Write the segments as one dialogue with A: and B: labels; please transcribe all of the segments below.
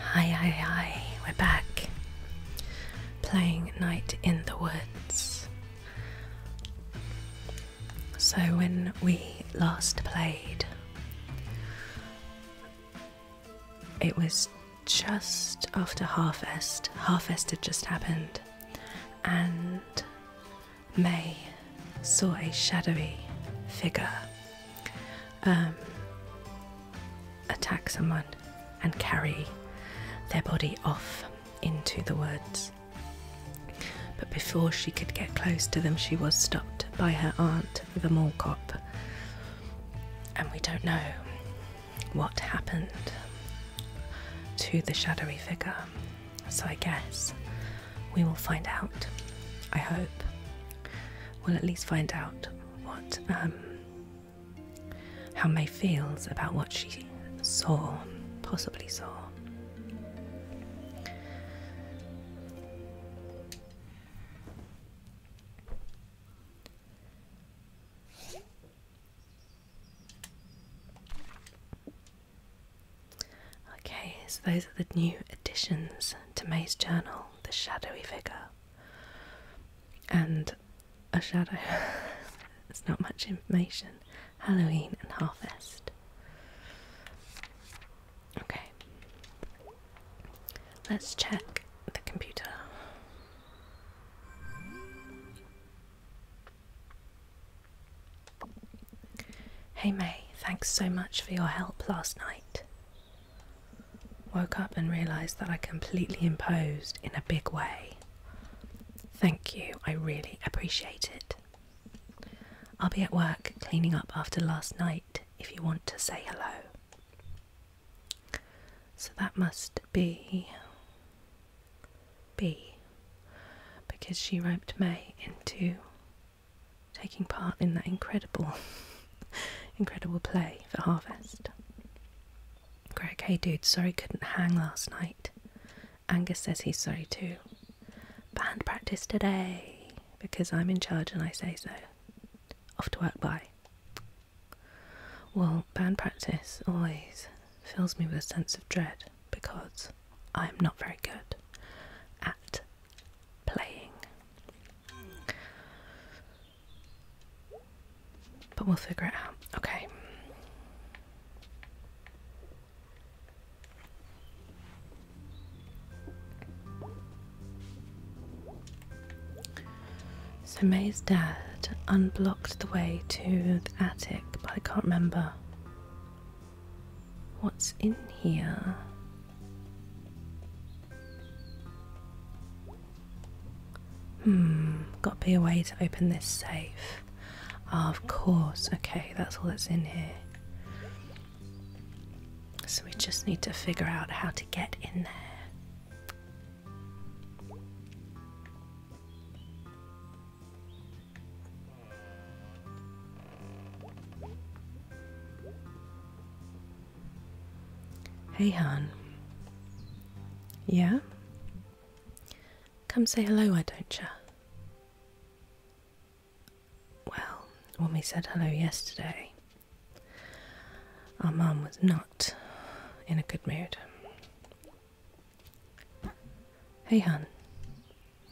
A: Hi, hi, hi, we're back playing Night in the Woods. So, when we last played, it was just after Harvest. Harvest had just happened, and May saw a shadowy figure um, attack someone and carry their body off into the woods. But before she could get close to them, she was stopped by her aunt, the mall cop. And we don't know what happened to the shadowy figure. So I guess we will find out. I hope. We'll at least find out what um, how May feels about what she saw, possibly saw. Okay, so those are the new additions to May's journal the shadowy figure and a shadow. There's not much information. Halloween and harvest. Okay, let's check the computer. Hey May, thanks so much for your help last night. Woke up and realised that I completely imposed in a big way. Thank you, I really appreciate it. I'll be at work cleaning up after last night if you want to say hello. So that must be B because she roped May into taking part in that incredible, incredible play for Harvest. Greg, hey dude, sorry couldn't hang last night. Angus says he's sorry too. Band practice today because I'm in charge and I say so. Off to work, bye. Well, band practice always fills me with a sense of dread because I'm not very good at playing. But we'll figure it out. Okay. So May's dad unblocked the way to the attic, but I can't remember What's in here? Hmm, got to be a way to open this safe. Ah, of course, okay, that's all that's in here. So we just need to figure out how to get in there. Hey, Han. Yeah? Come say hello, why don't ya? Well, when we said hello yesterday, our mom was not in a good mood. Hey, Han.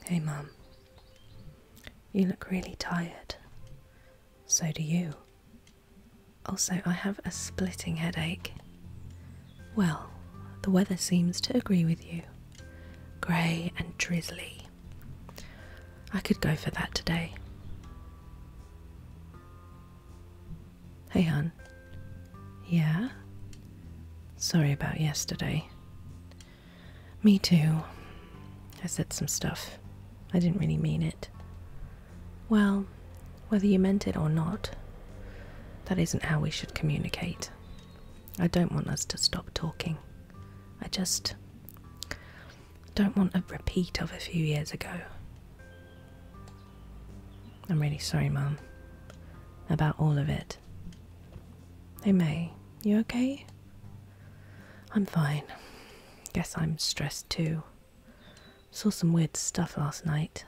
A: Hey, Mum. You look really tired. So do you. Also, I have a splitting headache. Well, the weather seems to agree with you. Grey and drizzly. I could go for that today. Hey, hon. Yeah? Sorry about yesterday. Me too. I said some stuff. I didn't really mean it. Well, whether you meant it or not, that isn't how we should communicate. I don't want us to stop talking. I just don't want a repeat of a few years ago. I'm really sorry, Mum, about all of it. Hey, May, you okay? I'm fine. Guess I'm stressed too. Saw some weird stuff last night.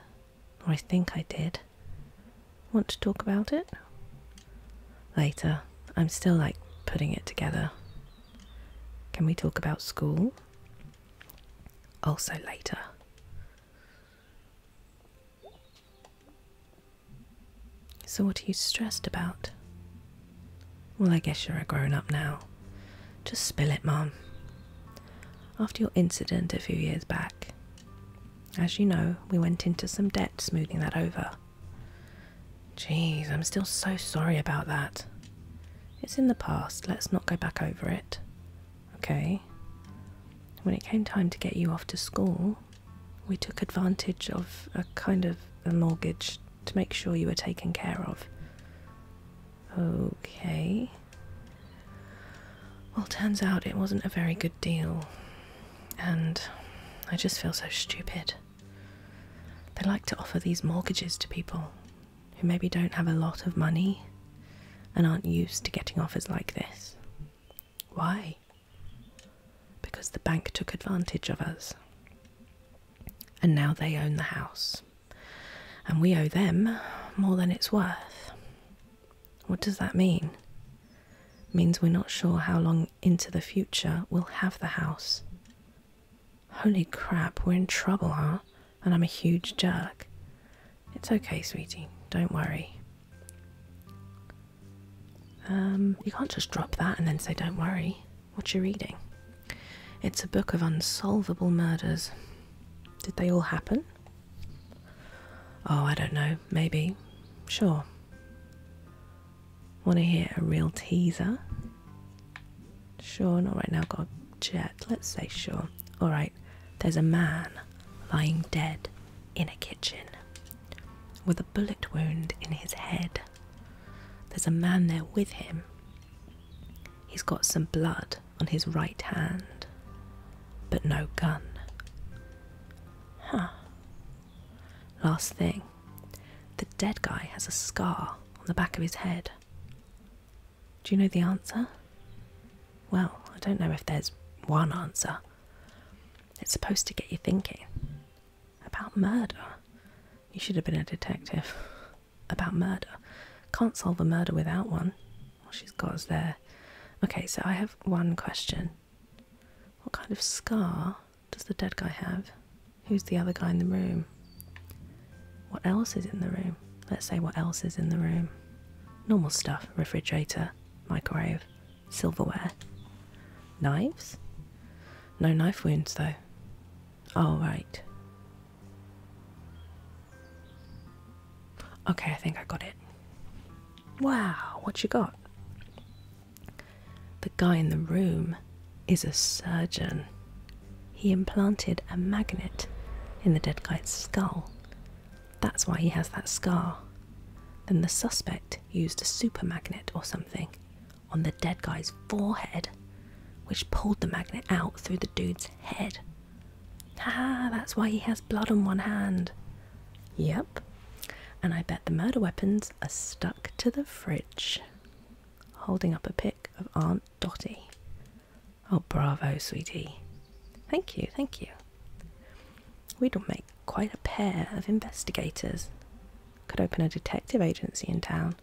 A: Or I think I did. Want to talk about it? Later. I'm still like putting it together. Can we talk about school? Also later. So, what are you stressed about? Well, I guess you're a grown up now. Just spill it, Mum. After your incident a few years back, as you know, we went into some debt smoothing that over. Jeez, I'm still so sorry about that. It's in the past, let's not go back over it. Okay. When it came time to get you off to school, we took advantage of a kind of a mortgage to make sure you were taken care of. Okay. Well, turns out it wasn't a very good deal, and I just feel so stupid. They like to offer these mortgages to people who maybe don't have a lot of money and aren't used to getting offers like this. Why? because the bank took advantage of us. And now they own the house. And we owe them more than it's worth. What does that mean? means we're not sure how long into the future we'll have the house. Holy crap, we're in trouble, huh? And I'm a huge jerk. It's okay, sweetie, don't worry. Um, you can't just drop that and then say, Don't worry, what you're reading. It's a book of unsolvable murders. Did they all happen? Oh, I don't know, maybe. Sure. Want to hear a real teaser? Sure, All right, now, I've got a jet. Let's say sure. Alright, there's a man lying dead in a kitchen with a bullet wound in his head. There's a man there with him. He's got some blood on his right hand, but no gun. Huh. Last thing the dead guy has a scar on the back of his head. Do you know the answer? Well, I don't know if there's one answer. It's supposed to get you thinking, about murder? You should have been a detective. About murder. Can't solve a murder without one. All she's got is there. Okay, so I have one question. What kind of scar does the dead guy have? Who's the other guy in the room? What else is in the room? Let's say what else is in the room. Normal stuff refrigerator, microwave, silverware, knives. No knife wounds, though. All oh, right. Okay, I think I got it. Wow, what you got? The guy in the room is a surgeon. He implanted a magnet in the dead guy's skull. That's why he has that scar. Then the suspect used a super magnet or something on the dead guy's forehead, which pulled the magnet out through the dude's head. Ah, that's why he has blood on one hand. Yep. And I bet the murder weapons are stuck to the fridge. Holding up a pic of Aunt Dotty. Oh, bravo, sweetie. Thank you, thank you. we do make quite a pair of investigators. Could open a detective agency in town.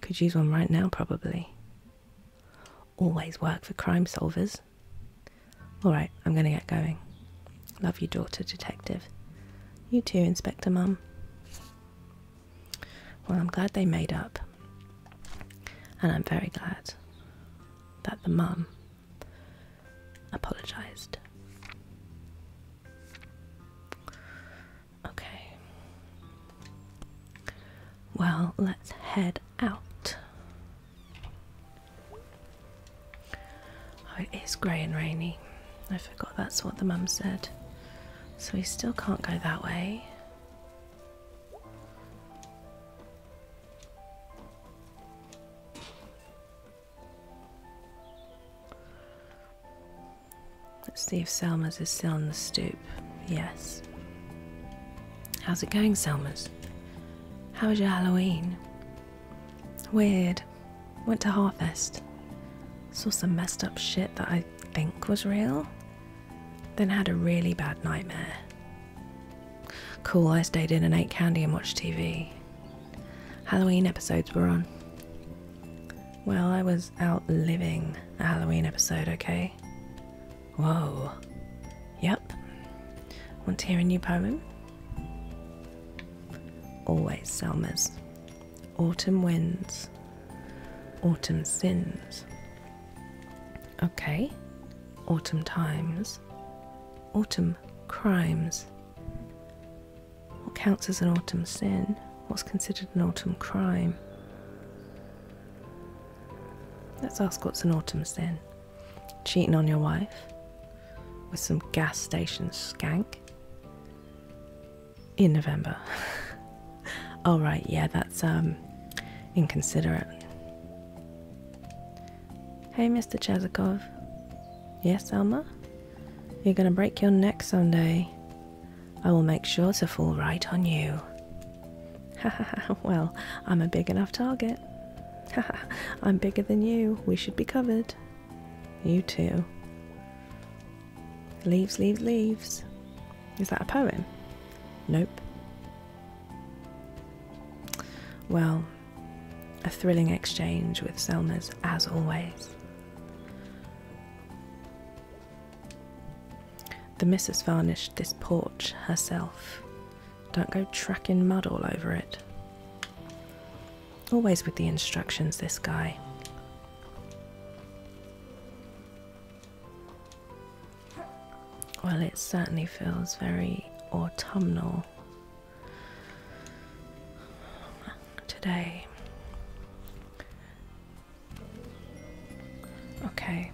A: Could use one right now, probably. Always work for crime solvers. Alright, I'm gonna get going. Love you, daughter detective. You too, Inspector Mum. Well, I'm glad they made up. And I'm very glad that the mum apologised. Okay. Well, let's head out. Oh, it is grey and rainy. I forgot that's what the mum said. So we still can't go that way. Let's see if Selma's is still on the stoop. Yes. How's it going, Selma's? How was your Halloween? Weird. Went to Harvest. Saw some messed up shit that I think was real. Then had a really bad nightmare. Cool, I stayed in and ate candy and watched TV. Halloween episodes were on. Well, I was outliving a Halloween episode, okay? Whoa. Yep. Want to hear a new poem? Always Selma's. Autumn winds. Autumn sins. Okay. Autumn times. Autumn crimes. What counts as an autumn sin? What's considered an autumn crime? Let's ask what's an autumn sin. Cheating on your wife with some gas station skank in November. All oh, right, yeah, that's um inconsiderate. Hey, Mr. Chazikov. Yes, Alma? You're going to break your neck someday. I will make sure to fall right on you. well, I'm a big enough target. I'm bigger than you. We should be covered. You too. Leaves, leaves, leaves. Is that a poem? Nope. Well, a thrilling exchange with Selma's as always. The missus varnished this porch herself. Don't go tracking mud all over it. Always with the instructions, this guy. Well, it certainly feels very autumnal today. Okay,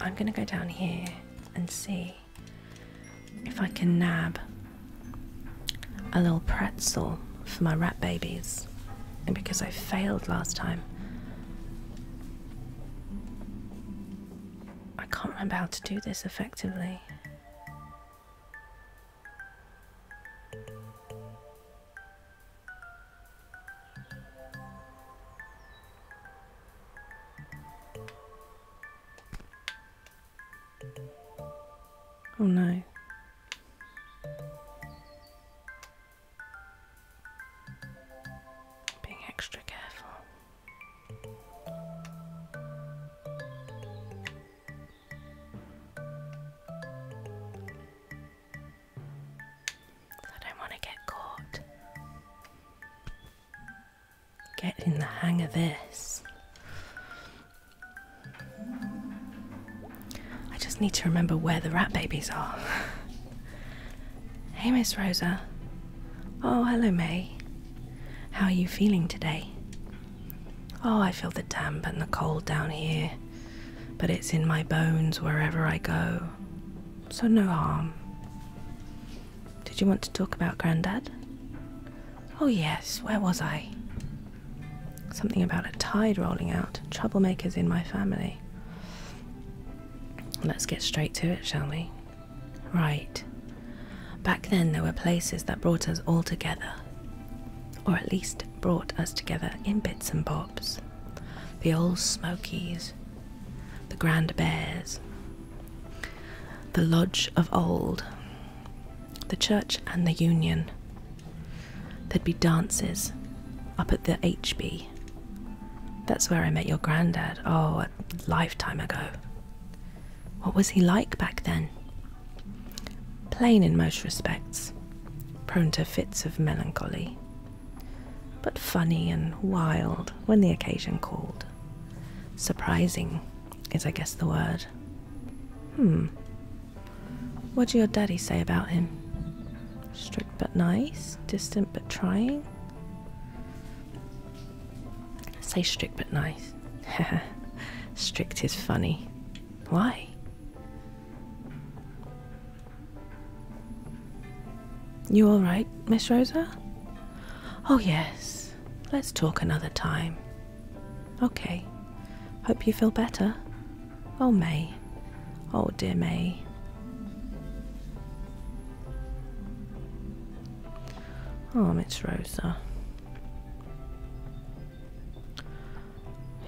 A: I'm gonna go down here and see if I can nab a little pretzel for my rat babies. And because I failed last time, I can't remember how to do this effectively. Oh no. Being extra careful. I don't want to get caught. Get in the hang of this. I just need to remember where the rat babies are. hey, Miss Rosa. Oh, hello, May. How are you feeling today? Oh, I feel the damp and the cold down here but it's in my bones wherever I go, so no harm. Did you want to talk about Grandad? Oh, yes, where was I? Something about a tide rolling out, troublemakers in my family. Let's get straight to it, shall we? Right. Back then, there were places that brought us all together or at least brought us together in bits and bobs. The old Smokies, the Grand Bears, the Lodge of Old, the Church and the Union. There'd be dances up at the HB. That's where I met your granddad, oh, a lifetime ago. What was he like back then? Plain in most respects, prone to fits of melancholy, but funny and wild when the occasion called. Surprising is, I guess, the word. Hmm. What did your daddy say about him? Strict but nice, distant but trying? Say strict but nice. strict is funny. Why? You all right, Miss Rosa? Oh, yes. Let's talk another time. Okay. Hope you feel better. Oh, May. Oh, dear May. Oh, Miss Rosa.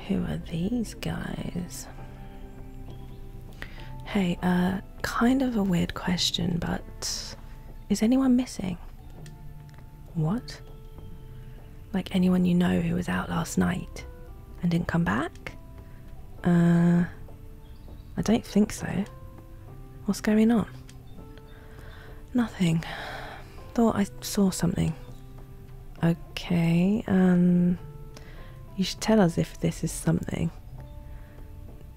A: Who are these guys? Hey, uh, kind of a weird question, but is anyone missing? What? Like anyone you know who was out last night and didn't come back? Uh, I don't think so. What's going on? Nothing. Thought I saw something. Okay, um, you should tell us if this is something.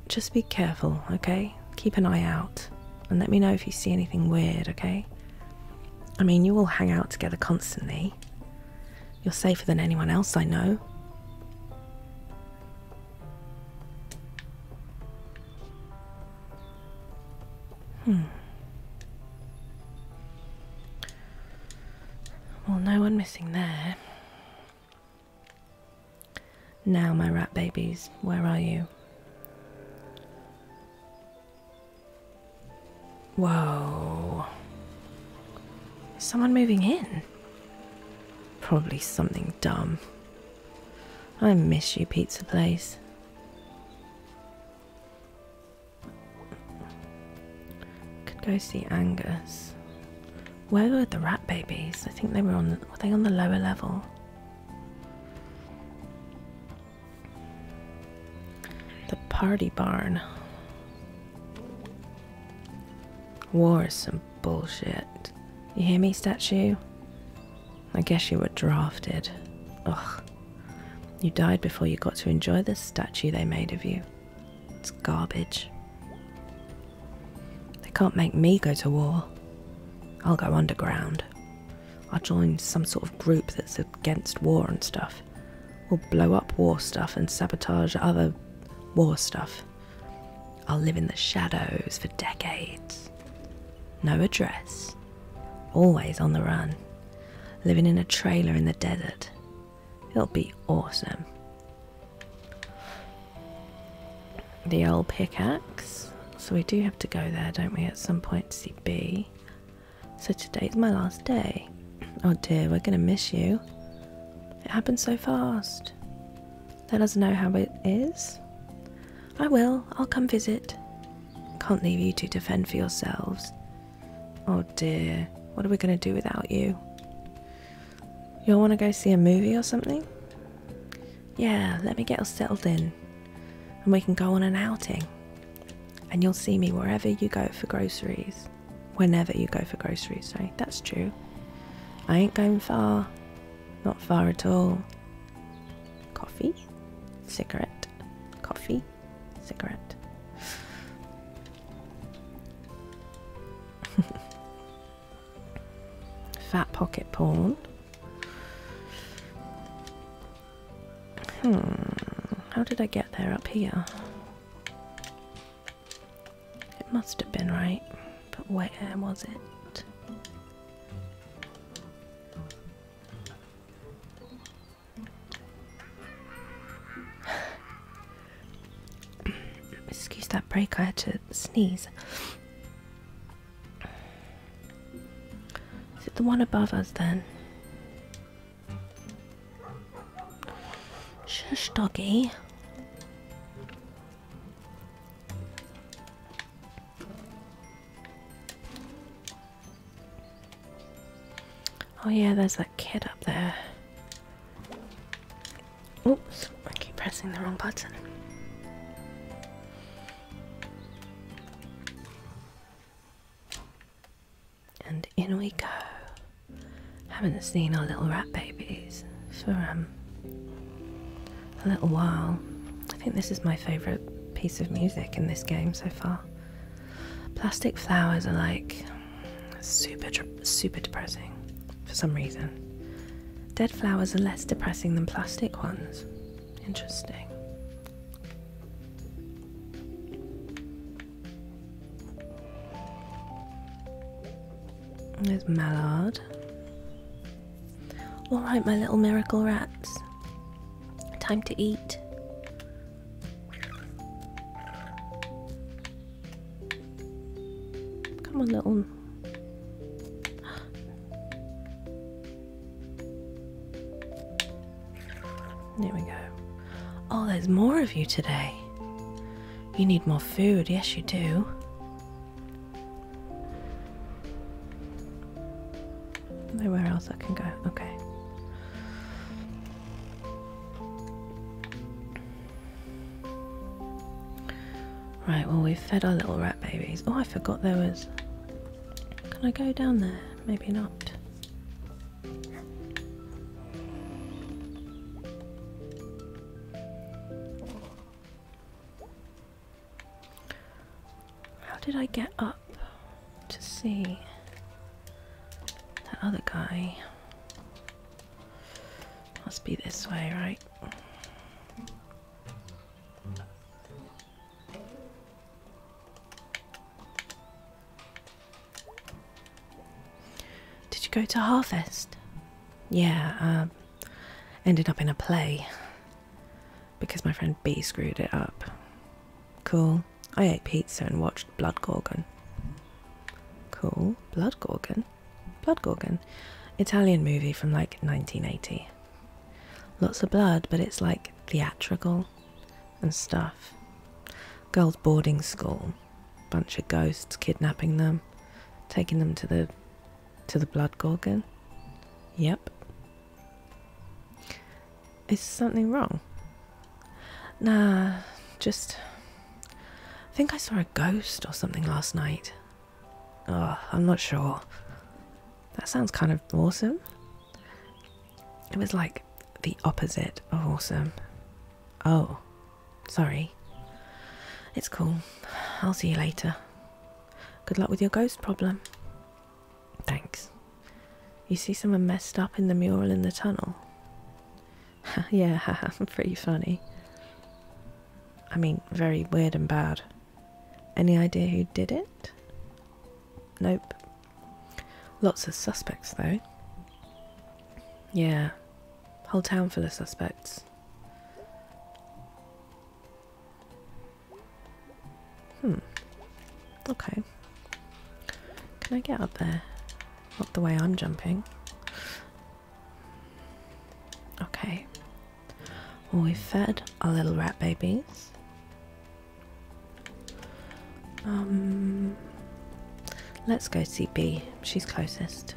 A: Just be careful, okay? Keep an eye out and let me know if you see anything weird, okay? I mean, you all hang out together constantly. You're safer than anyone else I know. Hmm. Well, no one missing there. Now, my rat babies, where are you? Whoa. someone moving in? Probably something dumb. I miss you, pizza place. Could go see Angus. Where were the rat babies? I think they were on. The, were they on the lower level? The party barn. War is some bullshit. You hear me, statue? I guess you were drafted. Ugh. You died before you got to enjoy the statue they made of you. It's garbage. They can't make me go to war. I'll go underground. I'll join some sort of group that's against war and stuff. We'll blow up war stuff and sabotage other war stuff. I'll live in the shadows for decades. No address. Always on the run. Living in a trailer in the desert. It'll be awesome. The old pickaxe. So we do have to go there, don't we, at some point to see B. So today's my last day. Oh dear, we're going to miss you. It happened so fast. Let us know how it is. I will. I'll come visit. Can't leave you to defend for yourselves. Oh dear, what are we going to do without you? You'll want to go see a movie or something? Yeah, let me get us settled in and we can go on an outing. And you'll see me wherever you go for groceries. Whenever you go for groceries, sorry, eh? that's true. I ain't going far. Not far at all. Coffee? Cigarette? Coffee? Cigarette? Fat pocket pawn. Hmm, how did I get there up here? It must have been right, but where was it? Excuse that break, I had to sneeze. Is it the one above us then? Shush, doggy. Oh yeah, there's that kid up there. Oops, I keep pressing the wrong button. And in we go. Haven't seen our little rat babies for um a little while. I think this is my favourite piece of music in this game so far. Plastic flowers are like super, super depressing for some reason. Dead flowers are less depressing than plastic ones. Interesting. There's Mallard. Alright, my little miracle rats. Time to eat. Come on, little. There we go. Oh, there's more of you today. You need more food. Yes, you do. Nowhere else I can go. Okay. Right, well, we've fed our little rat babies. Oh, I forgot there was. Can I go down there? Maybe not. How did I get up to see that other guy? Must be this way, right? Did you go to Harvest? Yeah, um, ended up in a play because my friend B screwed it up. Cool. I ate pizza and watched Blood Gorgon. Cool. Blood Gorgon? Blood Gorgon. Italian movie from like 1980. Lots of blood, but it's like theatrical and stuff. Girls' boarding school. Bunch of ghosts kidnapping them, taking them to the to the blood gorgon. Yep. Is something wrong? Nah, just. I think I saw a ghost or something last night. I'm not sure. That sounds kind of awesome. It was like the opposite of awesome. Oh, sorry. It's cool. I'll see you later. Good luck with your ghost problem. Thanks. You see someone messed up in the mural in the tunnel? yeah, pretty funny. I mean, very weird and bad. Any idea who did it? Nope. Lots of suspects, though. Yeah, whole town full of suspects. Hmm. Okay. Can I get up there? Not the way I'm jumping. Okay. Well, we fed our little rat babies. Um, let's go see B. She's closest.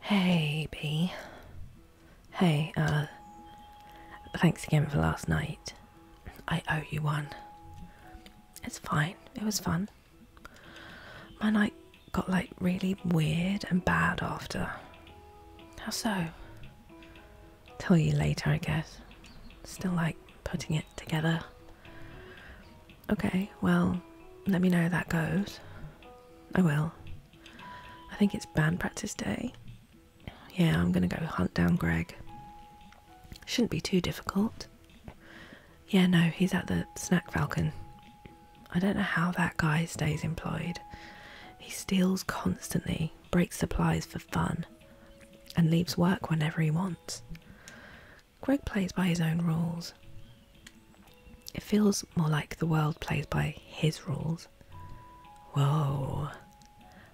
A: Hey, B. Hey, uh, thanks again for last night. I owe you one. It's fine, it was fun. My night got like really weird and bad after. How so? Tell you later, I guess. Still like putting it together. Okay, well, let me know how that goes. I will. I think it's band practice day. Yeah, I'm gonna go hunt down Greg. Shouldn't be too difficult. Yeah, no, he's at the Snack Falcon. I don't know how that guy stays employed. He steals constantly, breaks supplies for fun, and leaves work whenever he wants. Greg plays by his own rules. It feels more like the world plays by his rules. Whoa.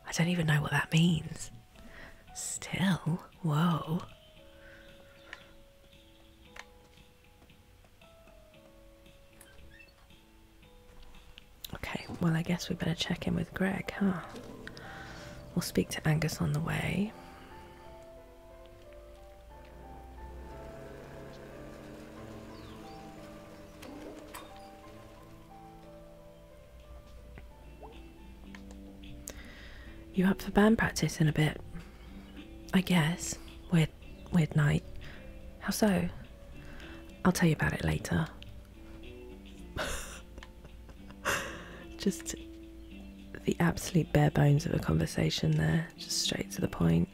A: I don't even know what that means. Still, whoa. Okay, well, I guess we better check in with Greg, huh? We'll speak to Angus on the way. You up for band practice in a bit? I guess. Weird, weird night. How so? I'll tell you about it later. Just the absolute bare bones of a conversation there, just straight to the point.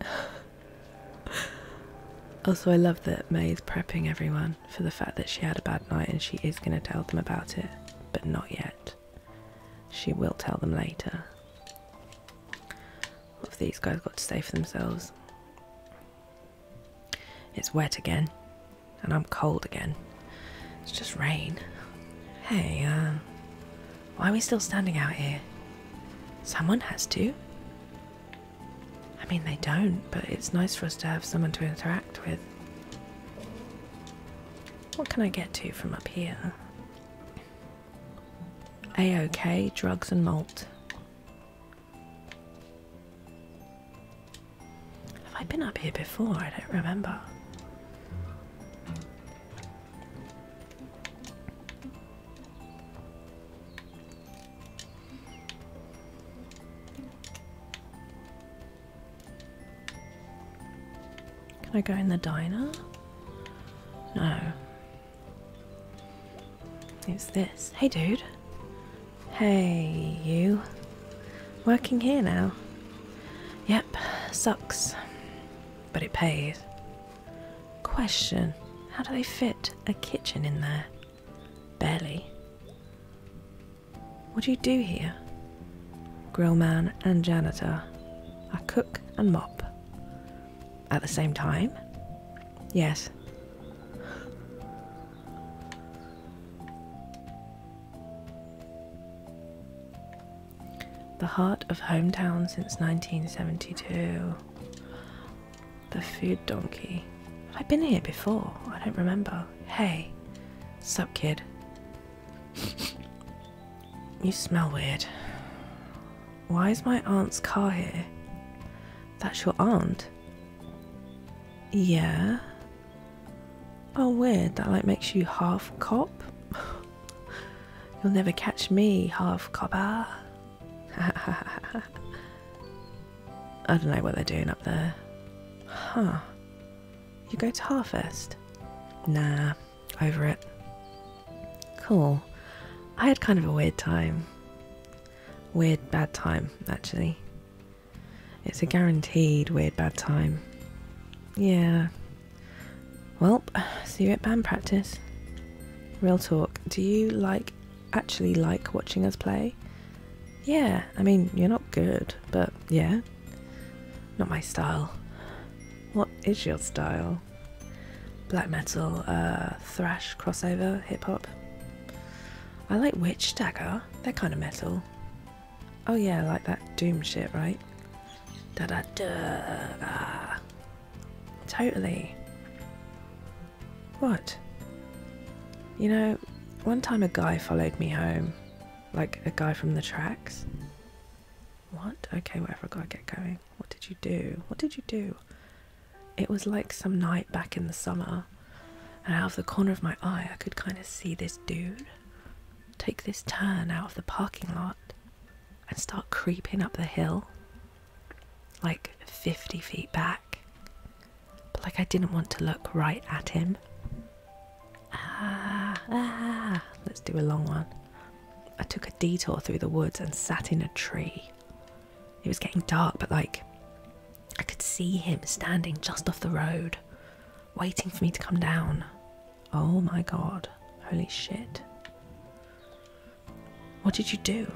A: also, I love that May is prepping everyone for the fact that she had a bad night and she is going to tell them about it, but not yet. She will tell them later. What have these guys got to say for themselves? It's wet again and I'm cold again. It's just rain. Hey, uh, why are we still standing out here? Someone has to. I mean, they don't, but it's nice for us to have someone to interact with. What can I get to from up here? a -okay, drugs and malt. Have I been up here before? I don't remember. Can I go in the diner? No. Who's this? Hey, dude. Hey, you. Working here now. Yep, sucks. But it pays. Question How do they fit a kitchen in there? Barely. What do you do here? Grill man and janitor. I cook and mop. At the same time? Yes. The heart of hometown since 1972. The food donkey. Have I been here before? I don't remember. Hey, sup, kid. you smell weird. Why is my aunt's car here? That's your aunt? Yeah, Oh, weird, that like makes you half cop. You'll never catch me, half copper. I don't know what they're doing up there. Huh. You go to Harvest? Nah, over it. Cool. I had kind of a weird time. Weird bad time, actually. It's a guaranteed weird bad time. Yeah. Well, see you at band practice. Real talk, do you like actually like watching us play? Yeah, I mean, you're not good, but yeah. Not my style. What is your style? Black metal, uh, thrash, crossover, hip hop. I like Witch Dagger, they're kind of metal. Oh yeah, like that doom shit, right? Da da da. Totally. What? You know, one time a guy followed me home, like a guy from the tracks. What? Okay, whatever, I gotta get going. What did you do? What did you do? It was like some night back in the summer, and out of the corner of my eye, I could kind of see this dude take this turn out of the parking lot and start creeping up the hill, like 50 feet back. But like I didn't want to look right at him. Ah, ah, let's do a long one. I took a detour through the woods and sat in a tree. It was getting dark, but like I could see him standing just off the road, waiting for me to come down. Oh my god. Holy shit. What did you do?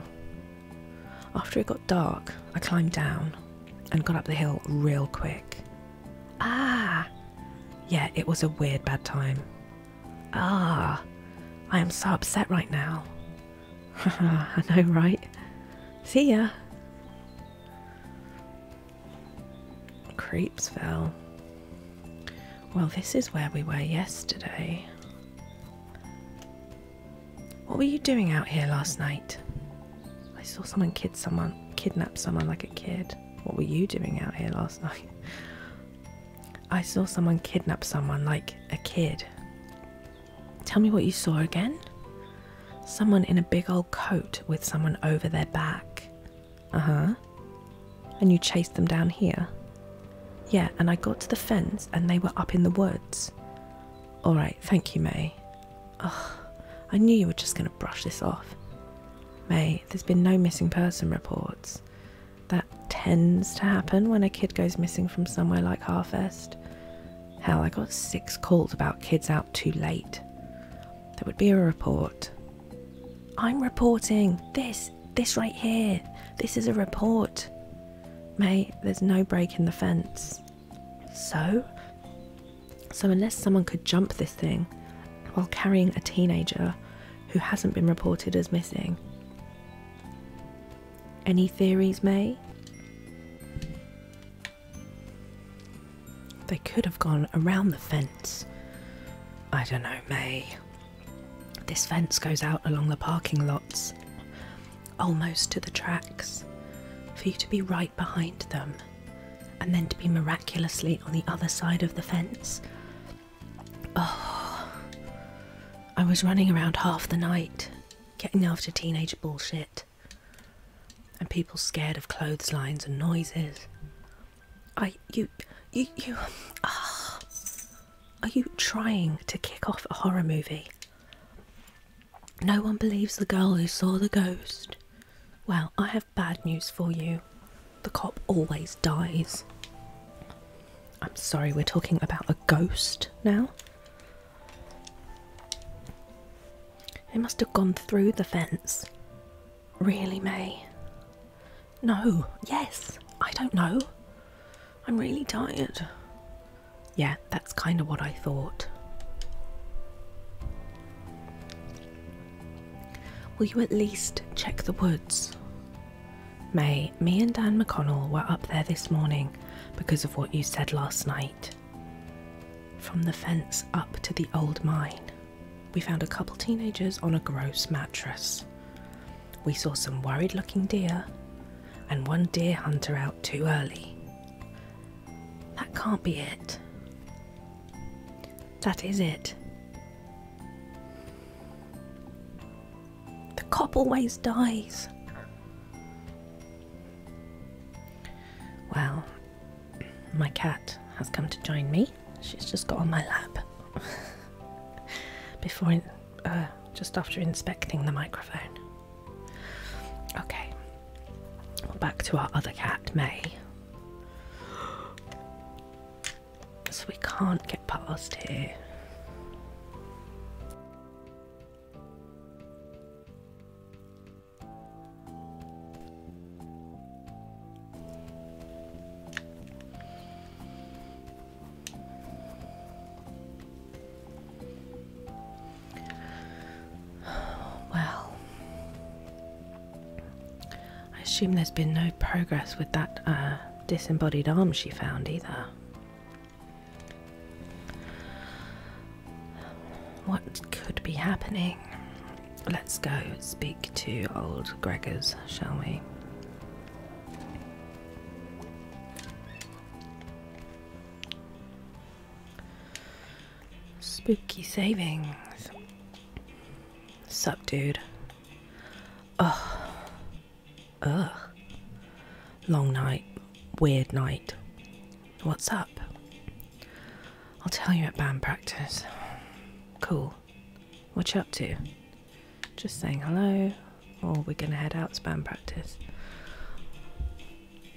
A: After it got dark, I climbed down and got up the hill real quick. Ah! Yeah, it was a weird bad time. Ah! I am so upset right now. I know, right? See ya! Creepsville. Well, this is where we were yesterday. What were you doing out here last night? I saw someone kid someone kidnap someone like a kid. What were you doing out here last night? I saw someone kidnap someone like a kid. Tell me what you saw again? Someone in a big old coat with someone over their back. Uh huh. And you chased them down here? Yeah, and I got to the fence and they were up in the woods. Alright, thank you, May. Ugh, I knew you were just going to brush this off. May, there's been no missing person reports. That tends to happen when a kid goes missing from somewhere like Harfest. Hell, I got six calls about kids out too late. There would be a report, I'm reporting this, this right here. This is a report. May. there's no break in the fence. So? So, unless someone could jump this thing while carrying a teenager who hasn't been reported as missing. Any theories, May? They could have gone around the fence. I don't know, May. This fence goes out along the parking lots, almost to the tracks, for you to be right behind them, and then to be miraculously on the other side of the fence. Oh, I was running around half the night, getting after teenage bullshit, and people scared of clotheslines and noises. I you you you ah are you trying to kick off a horror movie? No one believes the girl who saw the ghost. Well, I have bad news for you. The cop always dies. I'm sorry, we're talking about a ghost now. It must have gone through the fence. Really, May? No, yes, I don't know. I'm really tired. Yeah, that's kind of what I thought. Will you at least check the woods? May, me and Dan McConnell were up there this morning because of what you said last night. From the fence up to the old mine we found a couple teenagers on a gross mattress. We saw some worried looking deer and one deer hunter out too early. That can't be it. That is it. The cop always dies. Well, my cat has come to join me. She's just got on my lap. Before, uh, just after inspecting the microphone. Okay, back to our other cat, May. So we can't get past here. Well, I assume there's been no progress with that uh, disembodied arm she found either. What could be happening? Let's go speak to old Gregor's, shall we? Spooky savings. Sup, dude. Ugh. Ugh. Long night. Weird night. What's up? I'll tell you at band practice. Cool. What you up to? Just saying hello, or we're gonna head out to band practice.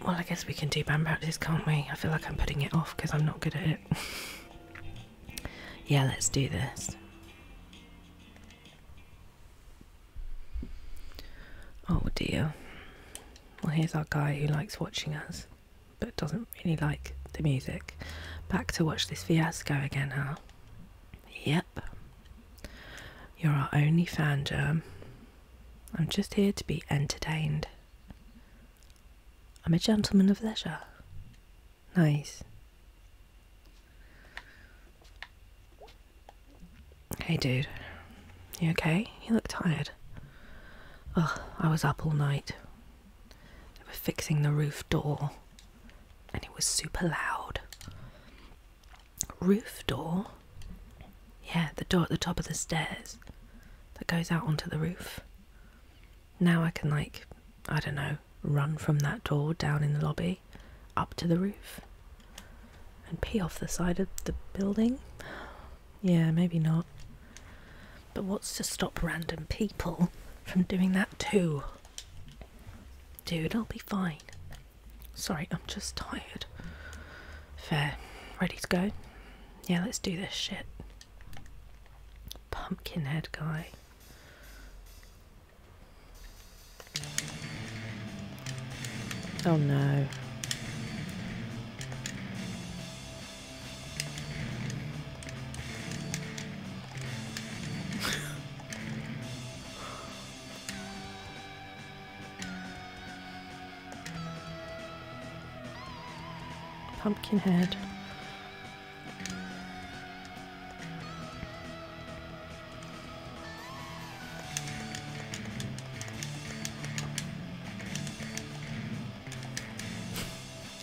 A: Well, I guess we can do ban practice, can't we? I feel like I'm putting it off because I'm not good at it. yeah, let's do this. Oh dear. Well, here's our guy who likes watching us but doesn't really like the music. Back to watch this fiasco again, huh? Yep. You're our only fan, Germ. I'm just here to be entertained. I'm a gentleman of leisure. Nice. Hey, dude. You okay? You look tired. Ugh, I was up all night. They were fixing the roof door and it was super loud. Roof door? Yeah, the door at the top of the stairs that goes out onto the roof. Now I can, like, I don't know, run from that door down in the lobby up to the roof and pee off the side of the building. Yeah, maybe not. But what's to stop random people from doing that too? Dude, I'll be fine. Sorry, I'm just tired. Fair. Ready to go? Yeah, let's do this shit. Pumpkinhead guy. Oh no. Pumpkinhead.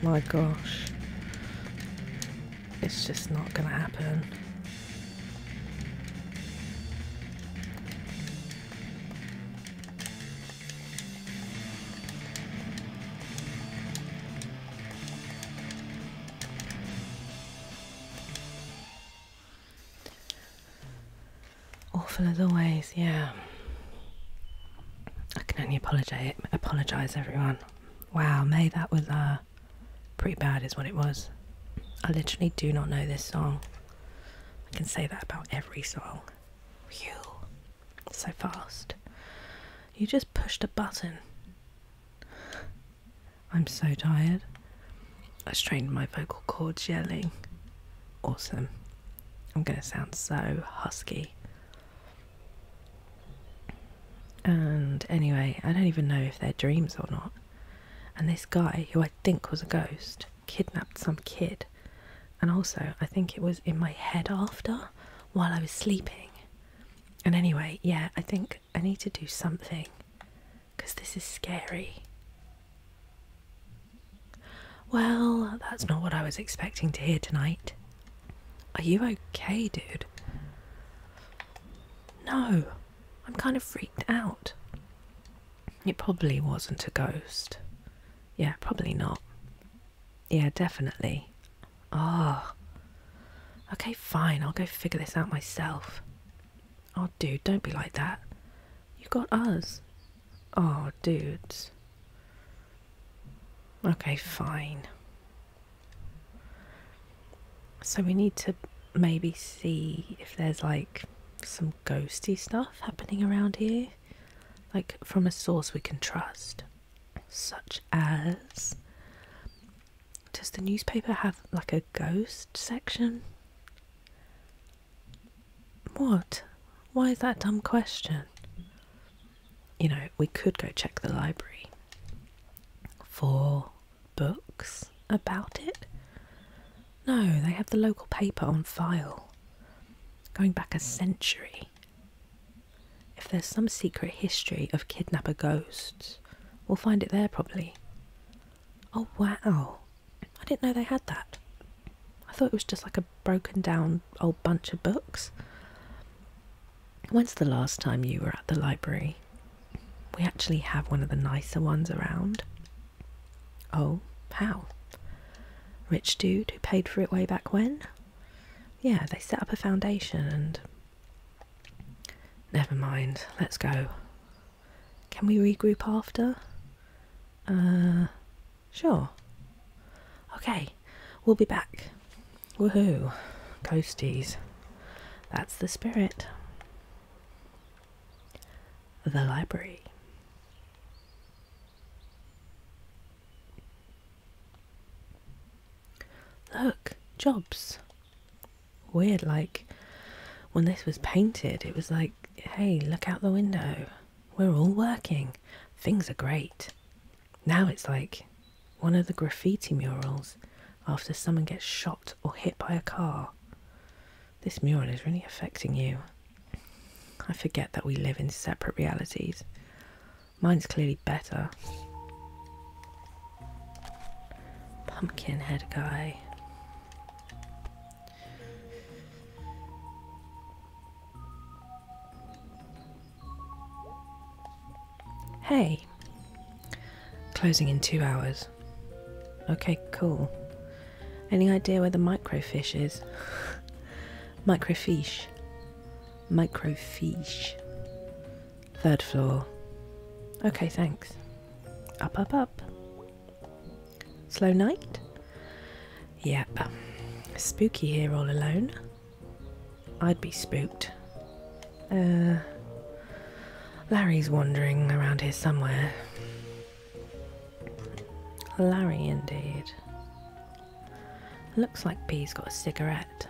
A: My gosh. It's just not gonna happen. Awful as always, yeah. I can only apologize, apologize everyone. Wow, May, that was uh, pretty bad, is what it was. I literally do not know this song. I can say that about every song. Phew, so fast. You just pushed a button. I'm so tired. I strained my vocal cords yelling. Awesome. I'm going to sound so husky. And anyway, I don't even know if they're dreams or not. And this guy, who I think was a ghost, kidnapped some kid. And also, I think it was in my head after, while I was sleeping. And anyway, yeah, I think I need to do something because this is scary. Well, that's not what I was expecting to hear tonight. Are you okay, dude? No, I'm kind of freaked out. It probably wasn't a ghost. Yeah, probably not. Yeah, definitely. Oh. Okay, fine. I'll go figure this out myself. Oh, dude, don't be like that. You got us. Oh, dudes. Okay, fine. So we need to maybe see if there's like some ghosty stuff happening around here. Like from a source we can trust, such as does the newspaper have like a ghost section? What? Why is that dumb question? You know, we could go check the library for books about it. No, they have the local paper on file. Going back a century. If there's some secret history of kidnapper ghosts, we'll find it there probably. Oh wow! I didn't know they had that. I thought it was just like a broken down old bunch of books. When's the last time you were at the library? We actually have one of the nicer ones around. Oh, how? Rich dude who paid for it way back when? Yeah, they set up a foundation and Never mind, let's go. Can we regroup after? Uh, sure. Okay, we'll be back. Woohoo, coasties. That's the spirit. The library. Look, jobs. Weird, like when this was painted, it was like, hey, look out the window. We're all working. Things are great. Now it's like one of the graffiti murals after someone gets shot or hit by a car. This mural is really affecting you. I forget that we live in separate realities. Mine's clearly better. Pumpkinhead guy. Hey, closing in two hours. Okay, cool. Any idea where the microfish is? microfiche. Microfiche. Third floor. Okay, thanks. Up, up, up. Slow night? Yep. Spooky here all alone. I'd be spooked. Uh, Larry's wandering around here somewhere. Larry, indeed. Looks like P's got a cigarette.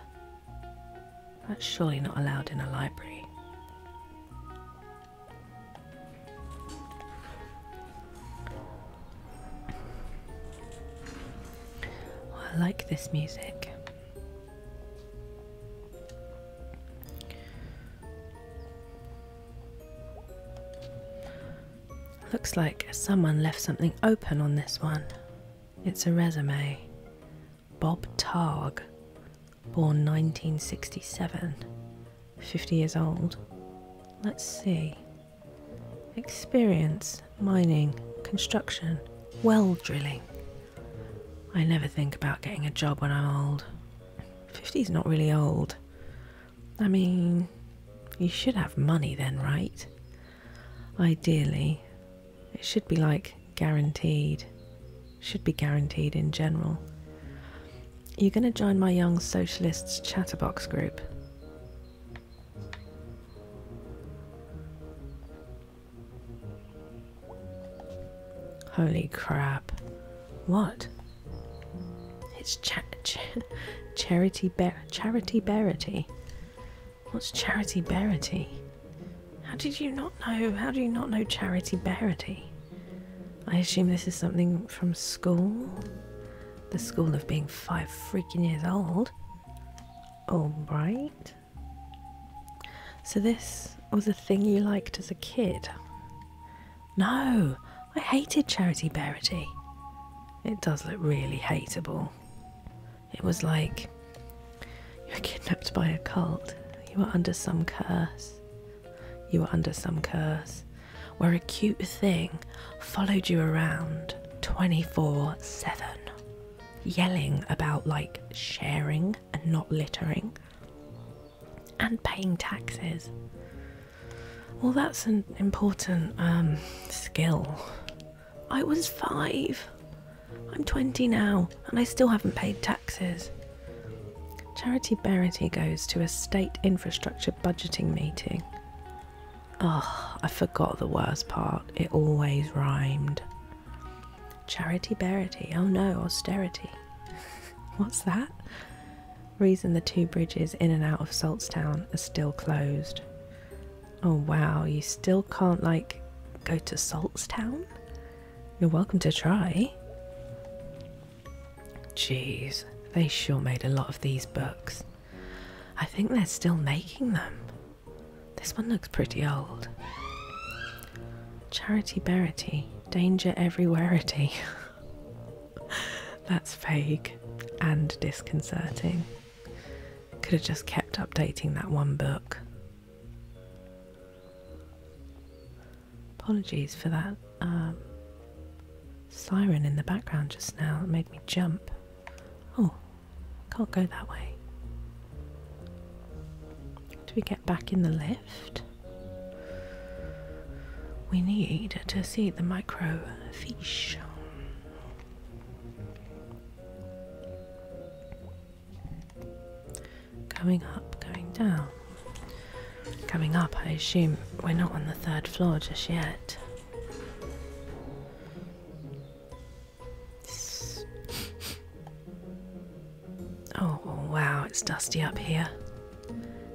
A: That's surely not allowed in a library. I like this music. Looks like someone left something open on this one. It's a resume. Bob Targ, born 1967, 50 years old. Let's see. Experience mining, construction, well drilling. I never think about getting a job when I'm old. 50 is not really old. I mean, you should have money then, right? Ideally, it should be like guaranteed, should be guaranteed in general. You're going to join my Young Socialists chatterbox group. Holy crap. What? It's cha charity bear charity What's charity berity? How did you not know? How do you not know Charity Barity? I assume this is something from school? The school of being five freaking years old? Alright. So, this was a thing you liked as a kid? No, I hated Charity Barity. It does look really hateable. It was like you were kidnapped by a cult. You were under some curse. You were under some curse. Where a cute thing followed you around 24 7, yelling about like sharing and not littering and paying taxes. Well, that's an important um, skill. I was five. I'm 20 now and I still haven't paid taxes. Charity Berity goes to a state infrastructure budgeting meeting. Oh, I forgot the worst part. It always rhymed. Charity Berity. Oh no, austerity. What's that? Reason the two bridges in and out of Saltstown are still closed. Oh wow, you still can't, like, go to Saltstown? You're welcome to try. Jeez, they sure made a lot of these books. I think they're still making them. This one looks pretty old. Charity Berity, Danger Everywhereity. That's vague and disconcerting. Could have just kept updating that one book. Apologies for that um, siren in the background just now. It made me jump. Oh, can't go that way. Do we get back in the lift? We need to see the micro microfiche. Going up, going down. Coming up, I assume we're not on the third floor just yet. Oh, wow, it's dusty up here.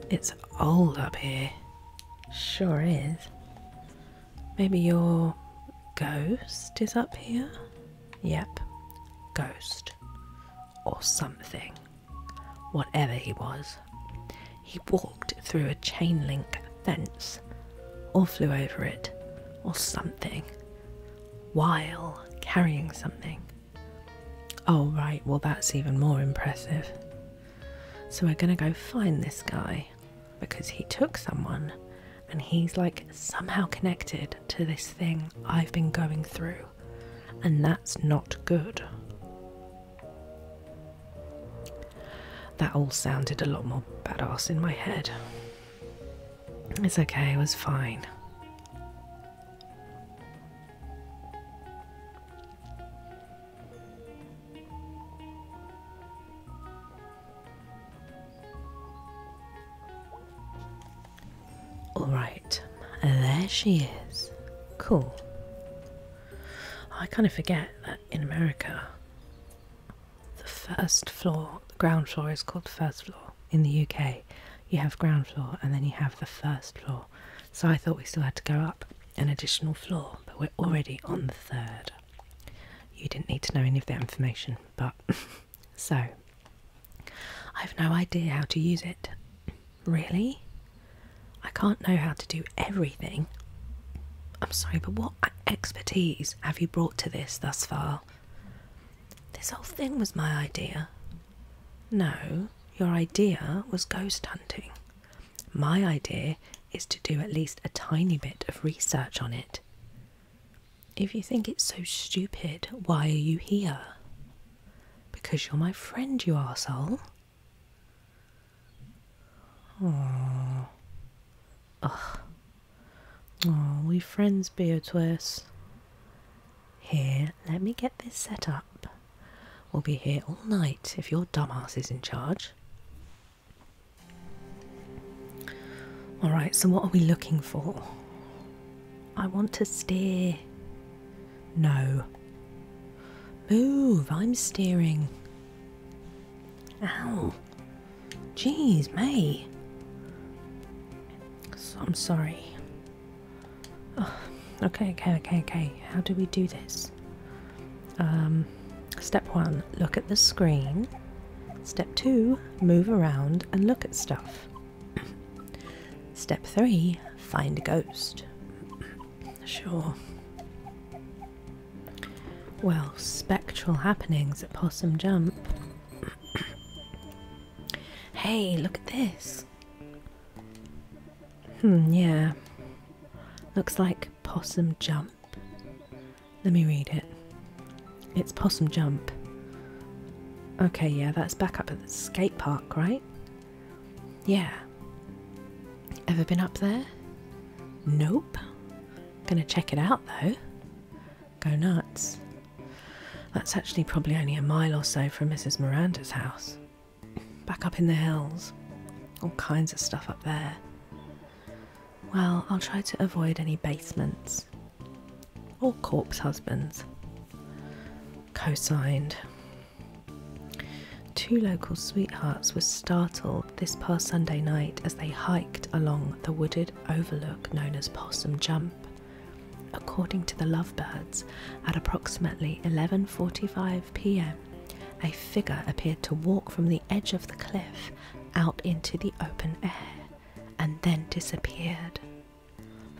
A: It's old up here. Sure is. Maybe your ghost is up here? Yep, ghost or something, whatever he was. He walked through a chain link fence or flew over it or something while carrying something. Oh, right, well, that's even more impressive. So, we're gonna go find this guy because he took someone and he's like somehow connected to this thing I've been going through, and that's not good. That all sounded a lot more badass in my head. It's okay, it was fine. Alright, there she is. Cool. I kind of forget that in America, the first floor, the ground floor is called first floor. In the UK, you have ground floor and then you have the first floor. So I thought we still had to go up an additional floor, but we're already on the third. You didn't need to know any of that information, but So, I've no idea how to use it. Really? I can't know how to do everything. I'm sorry, but what expertise have you brought to this thus far? This whole thing was my idea. No, your idea was ghost hunting. My idea is to do at least a tiny bit of research on it. If you think it's so stupid, why are you here? Because you're my friend, you arsehole. Oh. Ugh. Oh, we friends, Beatrice. Here, let me get this set up. We'll be here all night if your dumbass is in charge. Alright, so what are we looking for? I want to steer. No. Move, I'm steering. Ow. Jeez, me. I'm sorry. okay, okay, okay, okay. How do we do this? Um, step one, look at the screen. Step two, move around and look at stuff. Step three find a ghost. sure. Well, spectral happenings at Possum Jump. hey, look at this. Hmm, yeah. Looks like Possum Jump. Let me read it. It's Possum Jump. Okay, yeah, that's back up at the skate park right? Yeah. Ever been up there? Nope. Gonna check it out though. Go nuts. That's actually probably only a mile or so from Mrs. Miranda's house. Back up in the hills. All kinds of stuff up there. Well, I'll try to avoid any basements or corpse husbands. Co signed. Two local sweethearts were startled this past Sunday night as they hiked along the wooded overlook known as Possum Jump. According to the lovebirds, at approximately 11:45 p.m., a figure appeared to walk from the edge of the cliff out into the open air and then disappeared.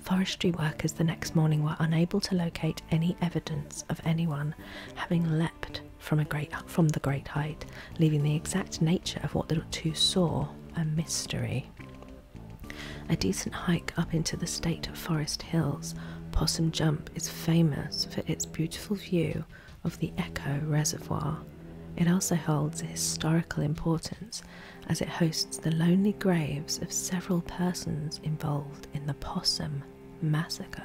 A: Forestry workers the next morning were unable to locate any evidence of anyone having leapt from, the great height, leaving the exact nature of what the two saw a mystery. A decent hike up into the state forest hills, Possum Jump is famous for its beautiful view of the Echo Reservoir. It also holds historical importance as it hosts the lonely graves of several persons involved in the Possum Massacre.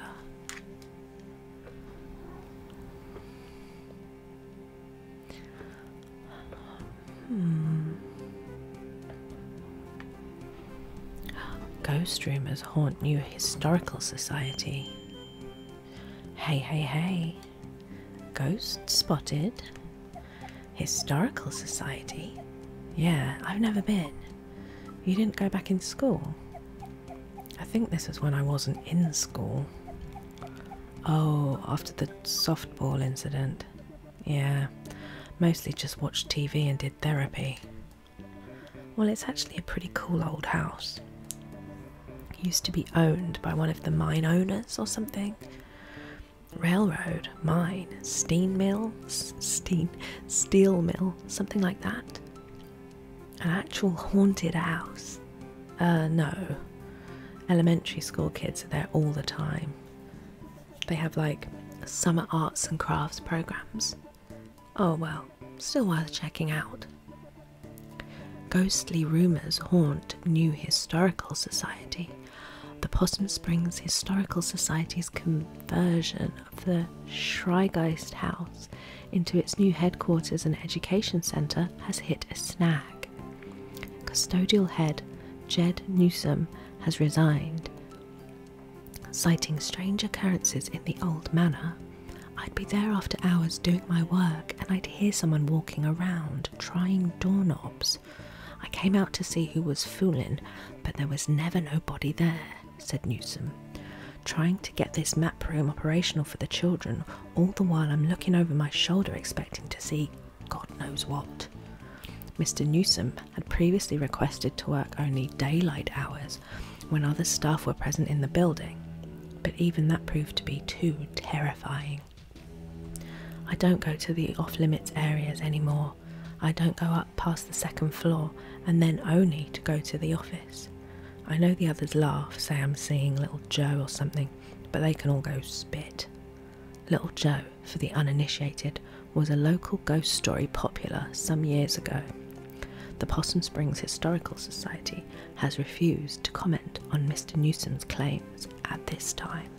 A: Hmm. Ghost rumors haunt New Historical Society. Hey, hey, hey. Ghost spotted Historical Society? Yeah, I've never been. You didn't go back in school? I think this was when I wasn't in school. Oh, after the softball incident. Yeah, mostly just watched TV and did therapy. Well, it's actually a pretty cool old house. used to be owned by one of the mine owners or something railroad, mine, steam mill, steam, steel mill, something like that. An actual haunted house. Uh, no. Elementary school kids are there all the time. They have like summer arts and crafts programs. Oh well, still worth checking out. Ghostly rumours haunt New Historical Society. The Possum Springs Historical Society's conversion of the Schreigeist House into its new headquarters and education centre has hit a snag. Custodial head Jed Newsom has resigned. Citing strange occurrences in the old manor, I'd be there after hours doing my work and I'd hear someone walking around trying doorknobs. I came out to see who was fooling, but there was never nobody there, said Newsom. Trying to get this map room operational for the children, all the while I'm looking over my shoulder expecting to see God knows what. Mr. Newsom had previously requested to work only daylight hours when other staff were present in the building, but even that proved to be too terrifying. I don't go to the off limits areas anymore, I don't go up past the second floor and then only to go to the office. I know the others laugh, say I'm seeing little Joe or something, but they can all go spit. Little Joe, for the uninitiated, was a local ghost story popular some years ago. The Possum Springs Historical Society has refused to comment on Mr. Newsom's claims at this time.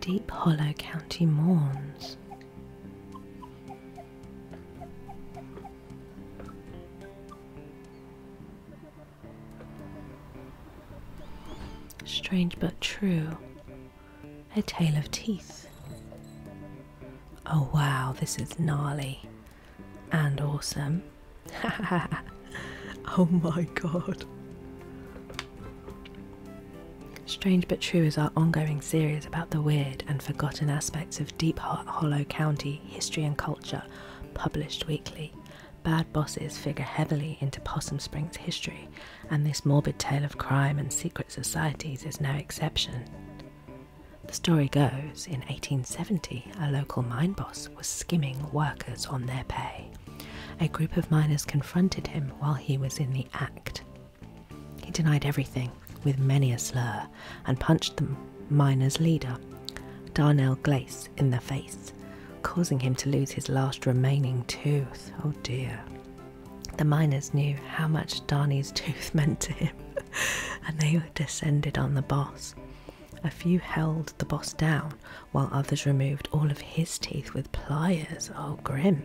A: Deep Hollow County mourns. Strange but true. A tale of teeth. Oh wow, this is gnarly and awesome. oh my god. Strange But True is our ongoing series about the weird and forgotten aspects of Deep Hollow County history and culture, published weekly. Bad bosses figure heavily into Possum Springs history, and this morbid tale of crime and secret societies is no exception. The story goes in 1870, a local mine boss was skimming workers on their pay. A group of miners confronted him while he was in the act. He denied everything, with many a slur, and punched the miners' leader, Darnell Glace, in the face, causing him to lose his last remaining tooth. Oh dear. The miners knew how much Darnie's tooth meant to him, and they descended on the boss. A few held the boss down, while others removed all of his teeth with pliers. Oh, grim.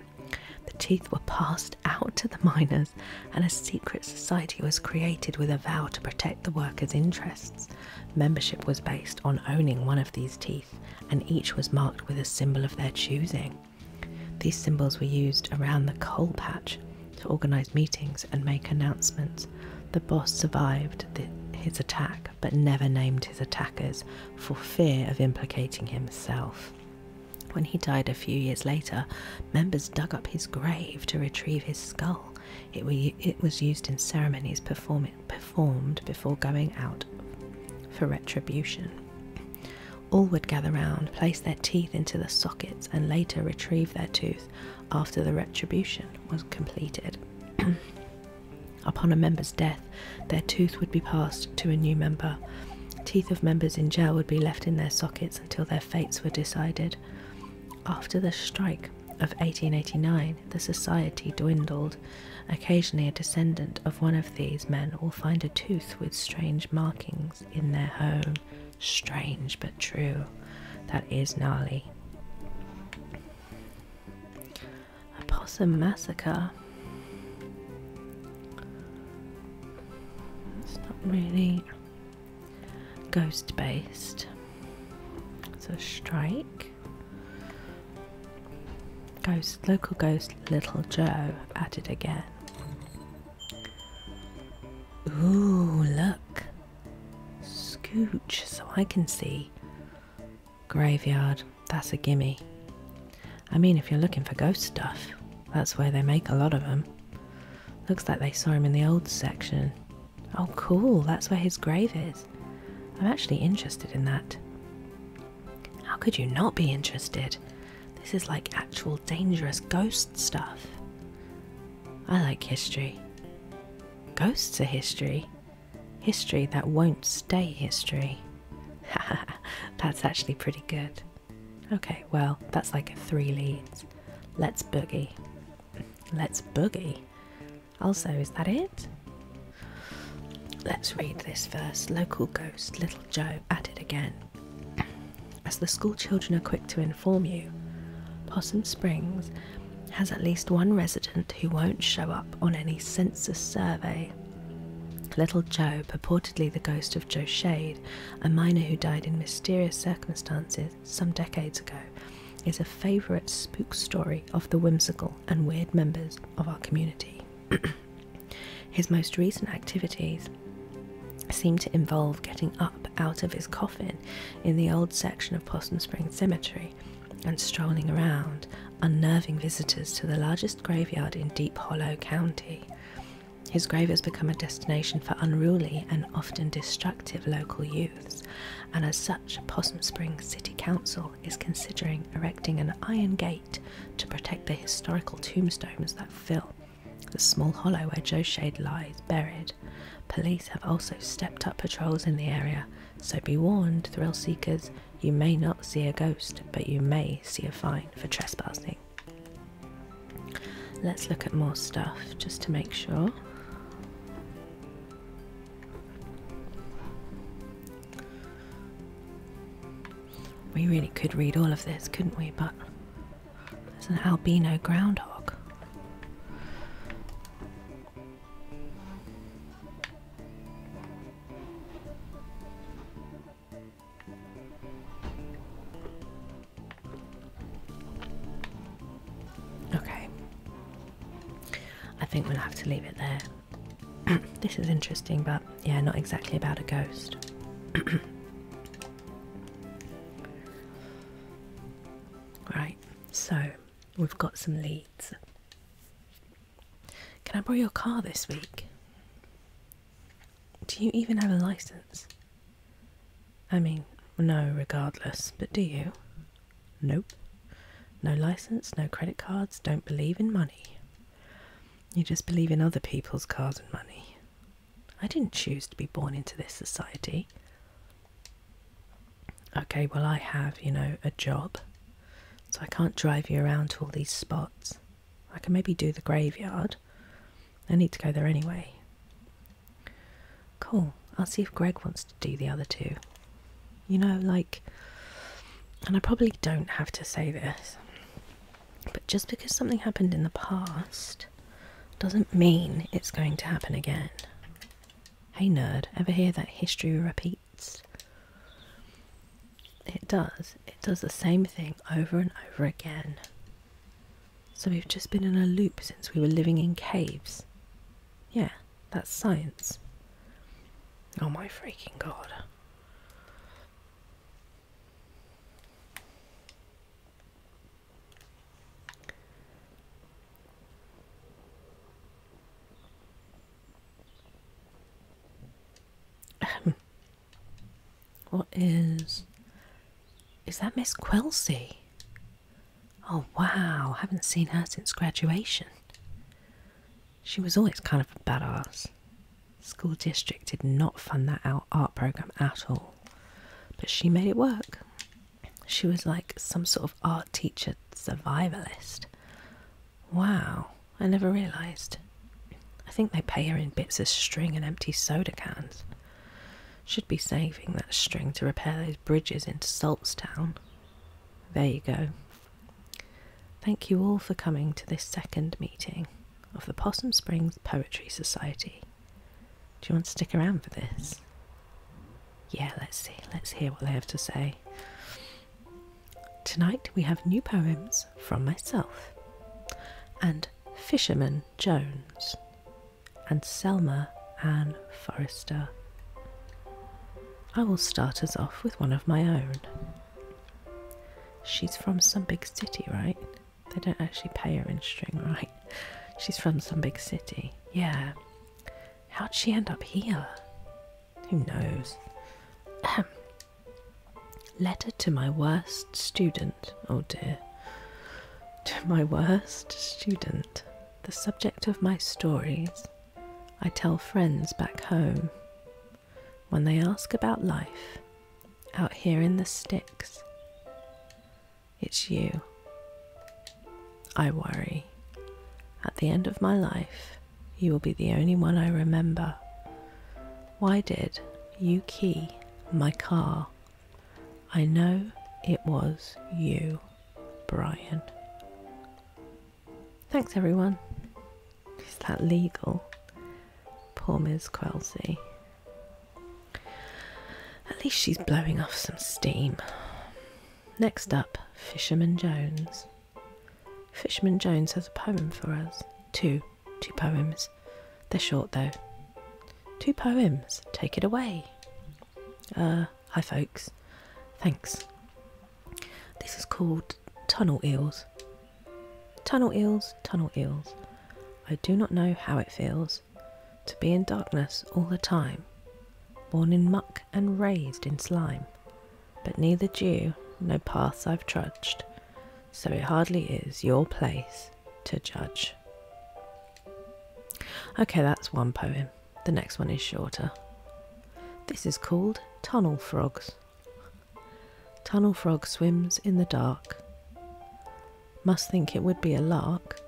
A: The teeth were passed out to the miners, and a secret society was created with a vow to protect the workers' interests. Membership was based on owning one of these teeth, and each was marked with a symbol of their choosing. These symbols were used around the coal patch to organize meetings and make announcements. The boss survived his attack but never named his attackers for fear of implicating himself. When he died a few years later, members dug up his grave to retrieve his skull. It, we, it was used in ceremonies perform, performed before going out for retribution. All would gather round, place their teeth into the sockets, and later retrieve their tooth, after the retribution was completed. Upon a member's death, their tooth would be passed to a new member. Teeth of members in jail would be left in their sockets until their fates were decided. After the strike of 1889, the society dwindled. Occasionally, a descendant of one of these men will find a tooth with strange markings in their home. Strange but true. That is gnarly. A possum massacre. It's not really ghost based. It's a strike. Ghost, local ghost, Little Joe, at it again. Ooh, look, Scooch so I can see. Graveyard, that's a gimme. I mean, if you're looking for ghost stuff, that's where they make a lot of them. Looks like they saw him in the old section. Oh, cool, that's where his grave is. I'm actually interested in that. How could you not be interested? This is like actual dangerous ghost stuff. I like history. Ghosts are history. History that won't stay history. that's actually pretty good. Okay, well, that's like three leads. Let's boogie. Let's boogie. Also, is that it? Let's read this first. Local ghost, Little Joe, at it again. As the school children are quick to inform you. Possum Springs has at least one resident who won't show up on any census survey. Little Joe, purportedly the ghost of Joe Shade, a miner who died in mysterious circumstances some decades ago, is a favourite spook story of the whimsical and weird members of our community. His most recent activities seem to involve getting up out of his coffin in the old section of Possum Spring Cemetery and strolling around, unnerving visitors to the largest graveyard in Deep Hollow County. His grave has become a destination for unruly and often destructive local youths, and as such, Possum Spring City Council is considering erecting an iron gate to protect the historical tombstones that fill the small hollow where Joe Shade lies buried. Police have also stepped up patrols in the area, so be warned, thrill seekers, you may not see a ghost, but you may see a fine for trespassing. Let's look at more stuff just to make sure. We really could read all of this, couldn't we? But there's an albino groundhog. Okay. I think we'll have to leave it there. this is interesting, but yeah, not exactly about a ghost. right. So we've got some leads. Can I borrow your car this week? Do you even have a license? I mean, no, regardless, but do you? Nope. No license, no credit cards, don't believe in money. You just believe in other people's cars and money. I didn't choose to be born into this society okay, well, I have, you know, a job, so I can't drive you around to all these spots. I can maybe do the graveyard. I need to go there anyway. Cool. I'll see if Greg wants to do the other two. You know, like, and I probably don't have to say this, but just because something happened in the past doesn't mean it's going to happen again. Hey nerd, ever hear that history repeats? It does. It does the same thing over and over again. So we've just been in a loop since we were living in caves. Yeah, that's science. Oh my freaking god what is. Is that Miss Quilsey? Oh wow, haven't seen her since graduation. She was always kind of a badass. School district did not fund that art program at all, but she made it work. She was like some sort of art teacher survivalist. Wow, I never realised. I think they pay her in bits of string and empty soda cans. Should be saving that string to repair those bridges into Saltstown. There you go. Thank you all for coming to this second meeting of the Possum Springs Poetry Society. Do you want to stick around for this? Yeah, let's see. Let's hear what they have to say. Tonight we have new poems from myself and Fisherman Jones and Selma Ann Forrester. I will start us off with one of my own. She's from some big city, right? They don't actually pay her in string, right? She's from some big city. Yeah. How'd she end up here? Who knows? Letter to my worst student. Oh dear. To my worst student, the subject of my stories, I tell friends back home. When they ask about life, out here in the sticks, it's you. I worry. At the end of my life, you will be the only one I remember. Why did you key my car? I know it was you, Brian. Thanks, everyone. Is that legal? Poor Miss Quelsey. At least she's blowing off some steam. Next up, Fisherman Jones. Fisherman Jones has a poem for us. Two. Two poems. They're short though. Two poems. Take it away. Uh, hi folks. Thanks. This is called Tunnel Eels. Tunnel eels, tunnel eels. I do not know how it feels to be in darkness all the time, born in muck and raised in slime, but neither dew nor paths I've trudged, so it hardly is your place to judge. Okay, that's one poem. The next one is shorter. This is called Tunnel Frogs. Tunnel frog swims in the dark. Must think it would be a lark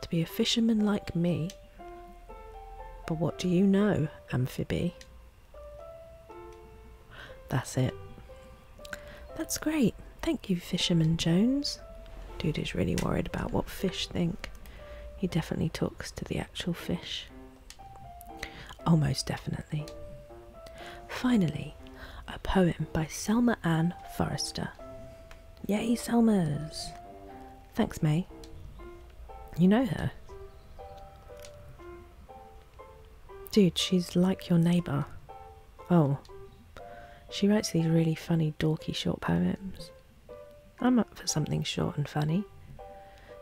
A: to be a fisherman like me. But what do you know, Amphibie? That's it. That's great. Thank you, Fisherman Jones. Dude is really worried about what fish think. He definitely talks to the actual fish. Almost definitely. Finally, a poem by Selma Ann Forrester. Yay, Selmas! Thanks, May. You know her. Dude, she's like your neighbour. Oh. She writes these really funny, dorky short poems. I'm up for something short and funny.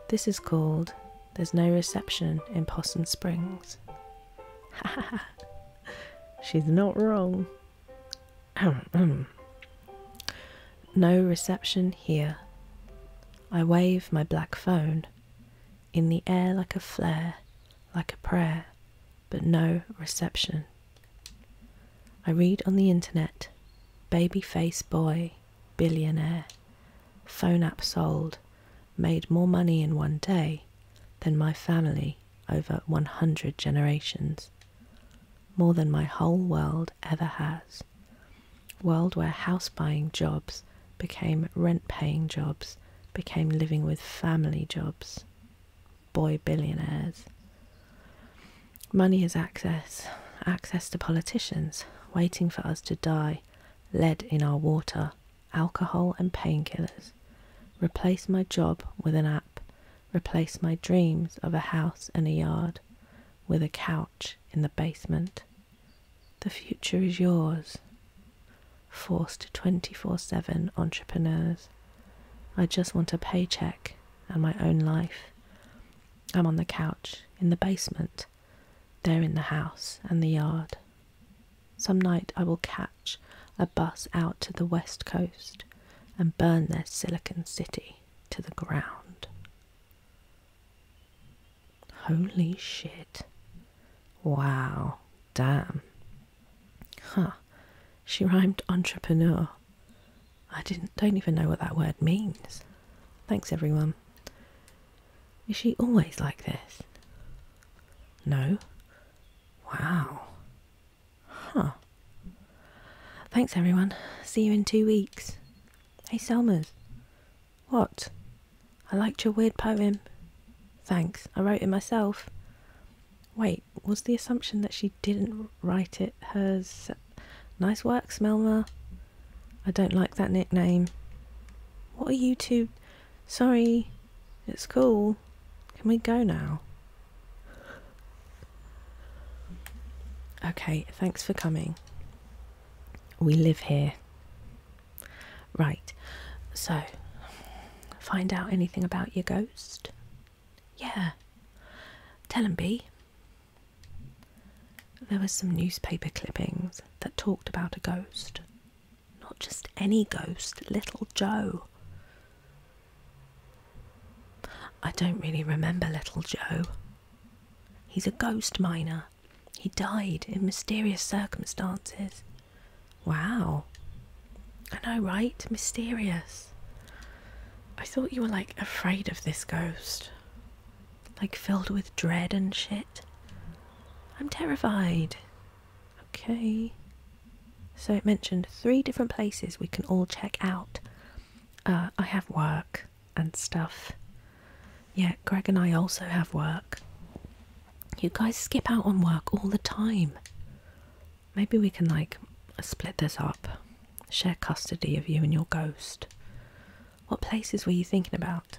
A: This is called There's No Reception in Possum Springs. Ha ha ha. She's not wrong. no reception here. I wave my black phone in the air like a flare, like a prayer, but no reception. I read on the internet baby face boy, billionaire, phone app sold, made more money in one day than my family over 100 generations more than my whole world ever has. World where house buying jobs became rent paying jobs, became living with family jobs, boy billionaires. Money is access, access to politicians, waiting for us to die, lead in our water, alcohol and painkillers. Replace my job with an app, replace my dreams of a house and a yard with a couch in the basement. The future is yours. Forced 24 7 entrepreneurs. I just want a paycheck and my own life. I'm on the couch in the basement. There in the house and the yard. Some night I will catch a bus out to the west coast and burn their Silicon City to the ground. Holy shit. Wow. Damn. Huh. She rhymed entrepreneur. I didn't don't even know what that word means. Thanks everyone. Is she always like this? No. Wow. Huh. Thanks, everyone. See you in two weeks. Hey, Selmas. What? I liked your weird poem. Thanks. I wrote it myself. Wait, was the assumption that she didn't write it hers? Nice work, Selma. I don't like that nickname. What are you two? Sorry, it's cool. Can we go now? Okay, thanks for coming. We live here. Right, so find out anything about your ghost? Yeah. Tell 'em, B. There were some newspaper clippings that talked about a ghost. Not just any ghost, little Joe. I don't really remember little Joe. He's a ghost miner. He died in mysterious circumstances. Wow. I know, right? Mysterious. I thought you were like afraid of this ghost. Like filled with dread and shit. I'm terrified. Okay. So it mentioned three different places we can all check out. Uh, I have work and stuff. Yeah, Greg and I also have work. You guys skip out on work all the time. Maybe we can like split this up, share custody of you and your ghost. What places were you thinking about?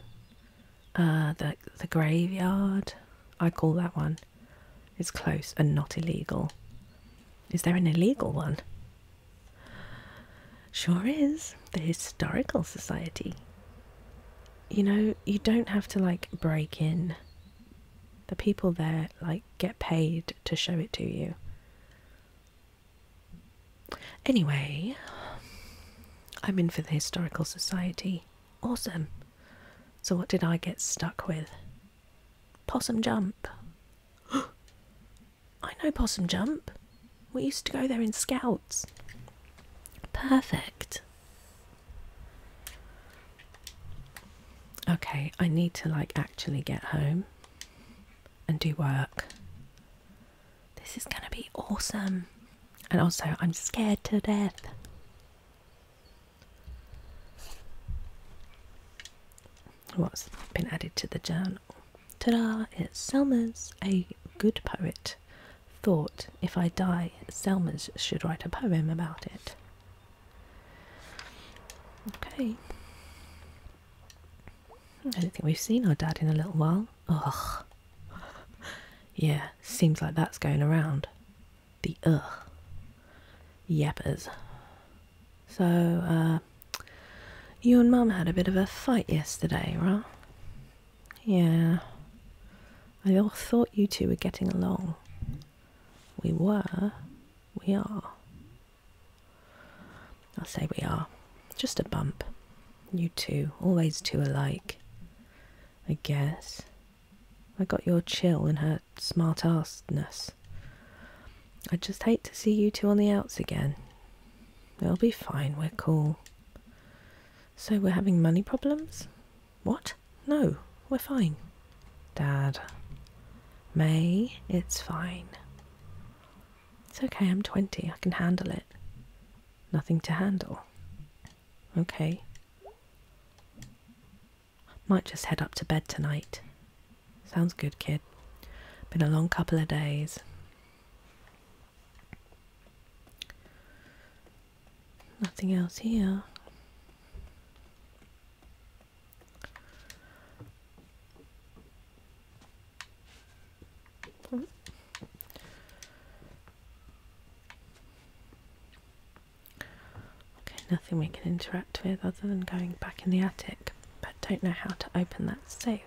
A: Uh, the the graveyard. I call that one. It's close and not illegal. Is there an illegal one? Sure is. The Historical Society. You know, you don't have to like break in. The people there like get paid to show it to you. Anyway, I'm in for the Historical Society. Awesome. So, what did I get stuck with? Possum jump. I know Possum Jump. We used to go there in scouts. Perfect. Okay, I need to like actually get home and do work. This is going to be awesome. And also, I'm scared to death. What's been added to the journal? journal. Ta-da! It's Selma's a good poet. Thought if I die, Selma's should write a poem about it. Okay. I don't think we've seen our dad in a little while. Ugh. Yeah, seems like that's going around. The ugh. Yeppers. So, uh, you and Mum had a bit of a fight yesterday, right? Yeah. I thought you two were getting along. We were. We are. I'll say we are. Just a bump. You two, always two alike. I guess. I got your chill and her smart-assedness. I'd just hate to see you two on the outs again. We'll be fine, we're cool. So we're having money problems? What? No, we're fine. Dad. May, it's fine. It's okay, I'm 20, I can handle it. Nothing to handle. Okay. Might just head up to bed tonight. Sounds good, kid. Been a long couple of days. Nothing else here. Okay, nothing we can interact with other than going back in the attic, but don't know how to open that safe.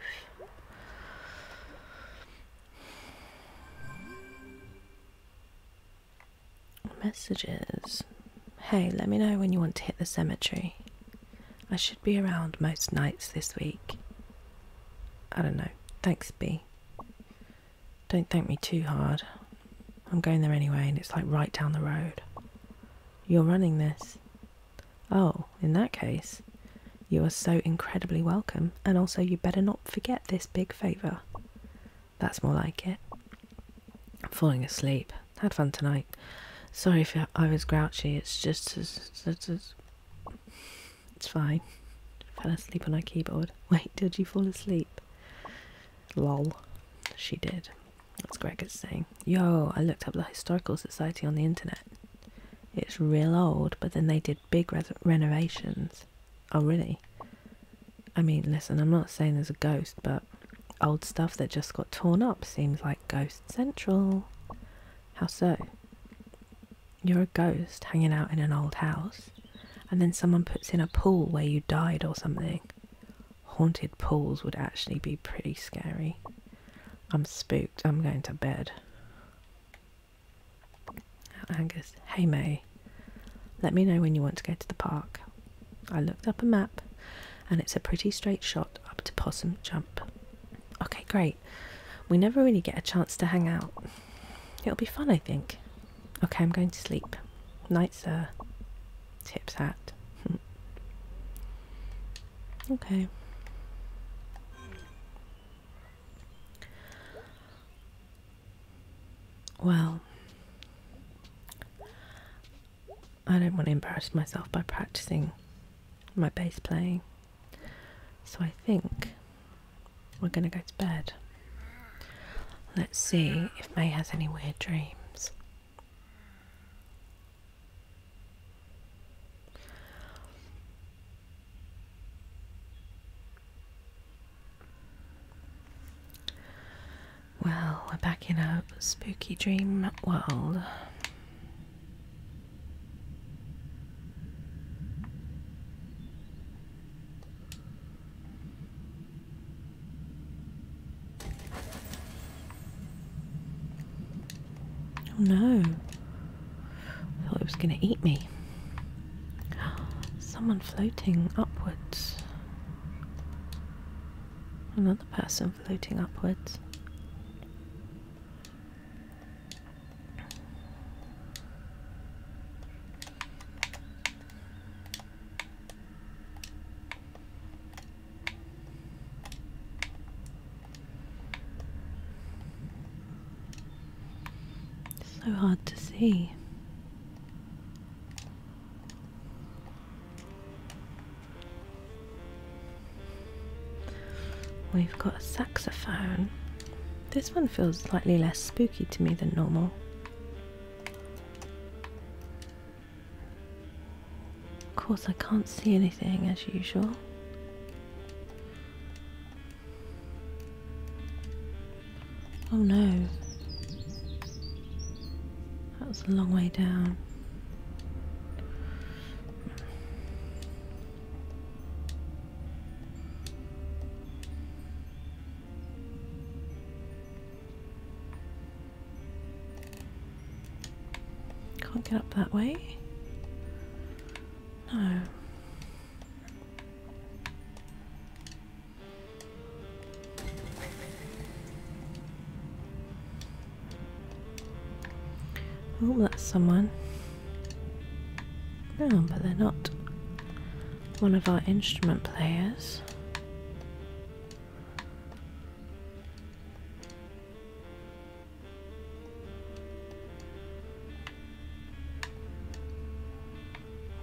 A: Messages. Hey, let me know when you want to hit the cemetery. I should be around most nights this week. I don't know. Thanks, B. Don't thank me too hard. I'm going there anyway, and it's like right down the road. You're running this. Oh, in that case, you are so incredibly welcome, and also you better not forget this big favour. That's more like it. I'm falling asleep. Had fun tonight. Sorry if I was grouchy, it's just. It's, fine. Fell asleep on our keyboard. Wait, did you fall asleep? Lol. She did. That's Gregor's saying. Yo, I looked up the Historical Society on the internet. It's real old, but then they did big renovations. Oh, really? I mean, listen, I'm not saying there's a ghost, but old stuff that just got torn up seems like ghost central. How so? You're a ghost hanging out in an old house, and then someone puts in a pool where you died or something. Haunted pools would actually be pretty scary. I'm spooked. I'm going to bed. Angus, hey May, let me know when you want to go to the park. I looked up a map and it's a pretty straight shot up to Possum Jump. Okay, great. We never really get a chance to hang out. It'll be fun, I think. Okay, I'm going to sleep. Night, sir. Tips hat. Okay. Well, I don't want to embarrass myself by practicing my bass playing, so I think we're going to go to bed. Let's see if May has any weird dreams. Well, we're back in a spooky dream world. Oh no. I thought it was going to eat me. Someone floating upwards. Another person floating upwards. It's so hard to see. We've got a saxophone. This one feels slightly less spooky to me than normal. Of course, I can't see anything as usual. Oh no. That was a long way down. Can't get up that way. No. Oh, that's someone. No, but they're not one of our instrument players.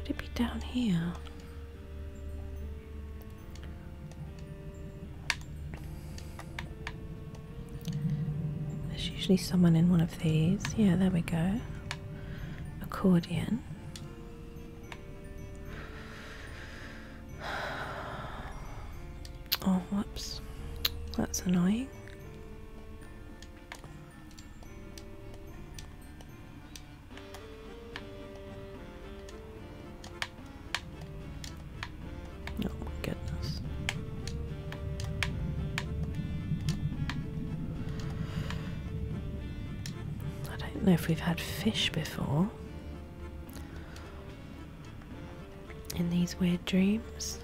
A: Would it be down here? There's usually someone in one of these. Yeah, there we go. Accordion. Oh, whoops. That's annoying. Oh my goodness. I don't know if we've had fish before in these weird dreams.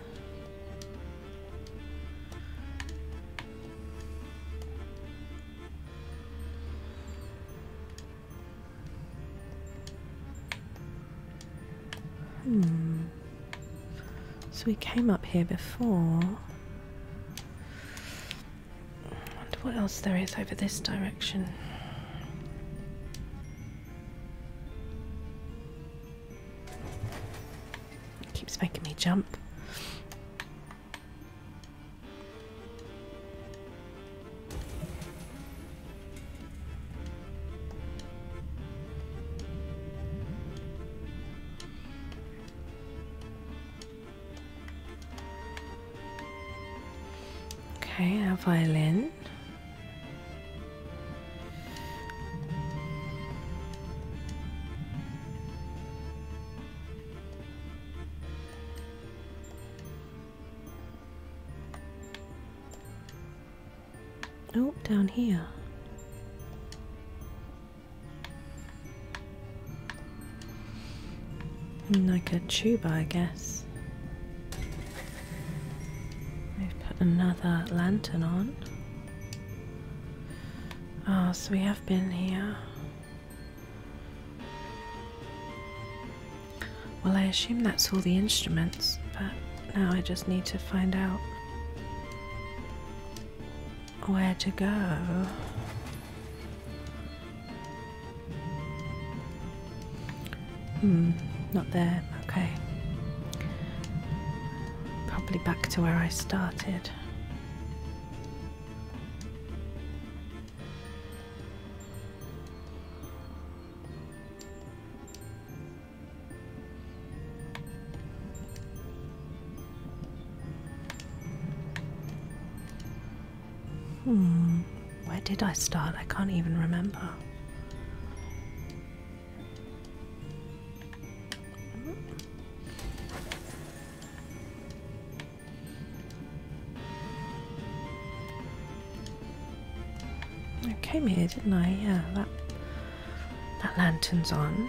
A: Hmm. So we came up here before. I wonder what else there is over this direction. Keeps making me jump. Okay, our violin. Oh, down here. Like a tuba, I guess. We've put another lantern on. Oh, so we have been here. Well, I assume that's all the instruments, but now I just need to find out where to go. Hmm, not there, okay. Probably back to where I started. Hmm, where did I start? I can't even remember. Mm-hmm. I came here, didn't I? Yeah, that that lantern's on.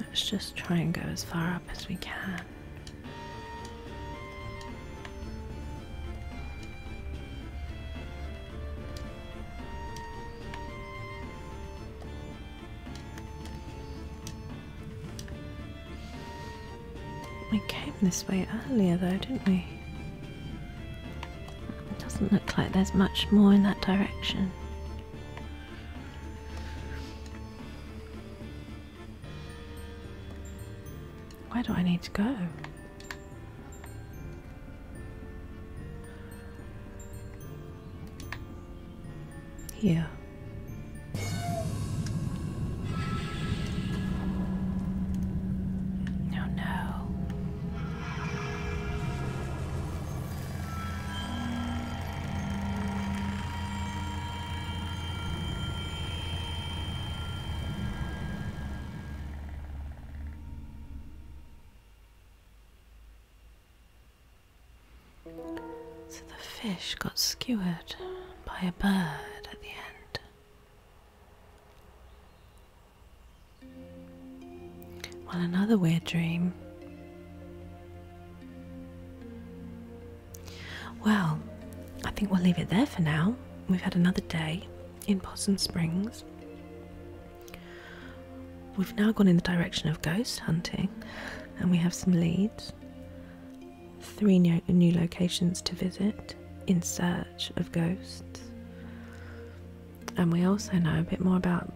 A: Let's just try and go as far up as we can. We came this way earlier though, didn't we? It Doesn't look like there's much more in that direction. Where do I need to go? Here. Oh no. So the fish got skewered by a bird at the end. Well, another weird dream. Well, I think we'll leave it there for now. We've had another day in Possum Springs. We've now gone in the direction of ghost hunting and we have some leads. Three new locations to visit in search of ghosts and we also know a bit more about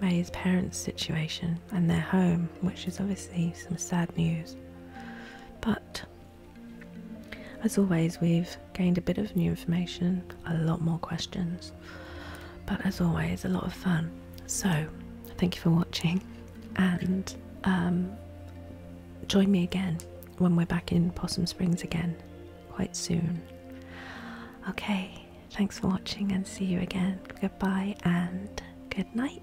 A: May's parents' situation and their home, which is obviously some sad news. But as always, we've gained a bit of new information, a lot more questions, but as always, a lot of fun. So, thank you for watching, and um, join me again when we're back in Possum Springs again quite soon. Okay, thanks for watching and see you again. Goodbye and good night.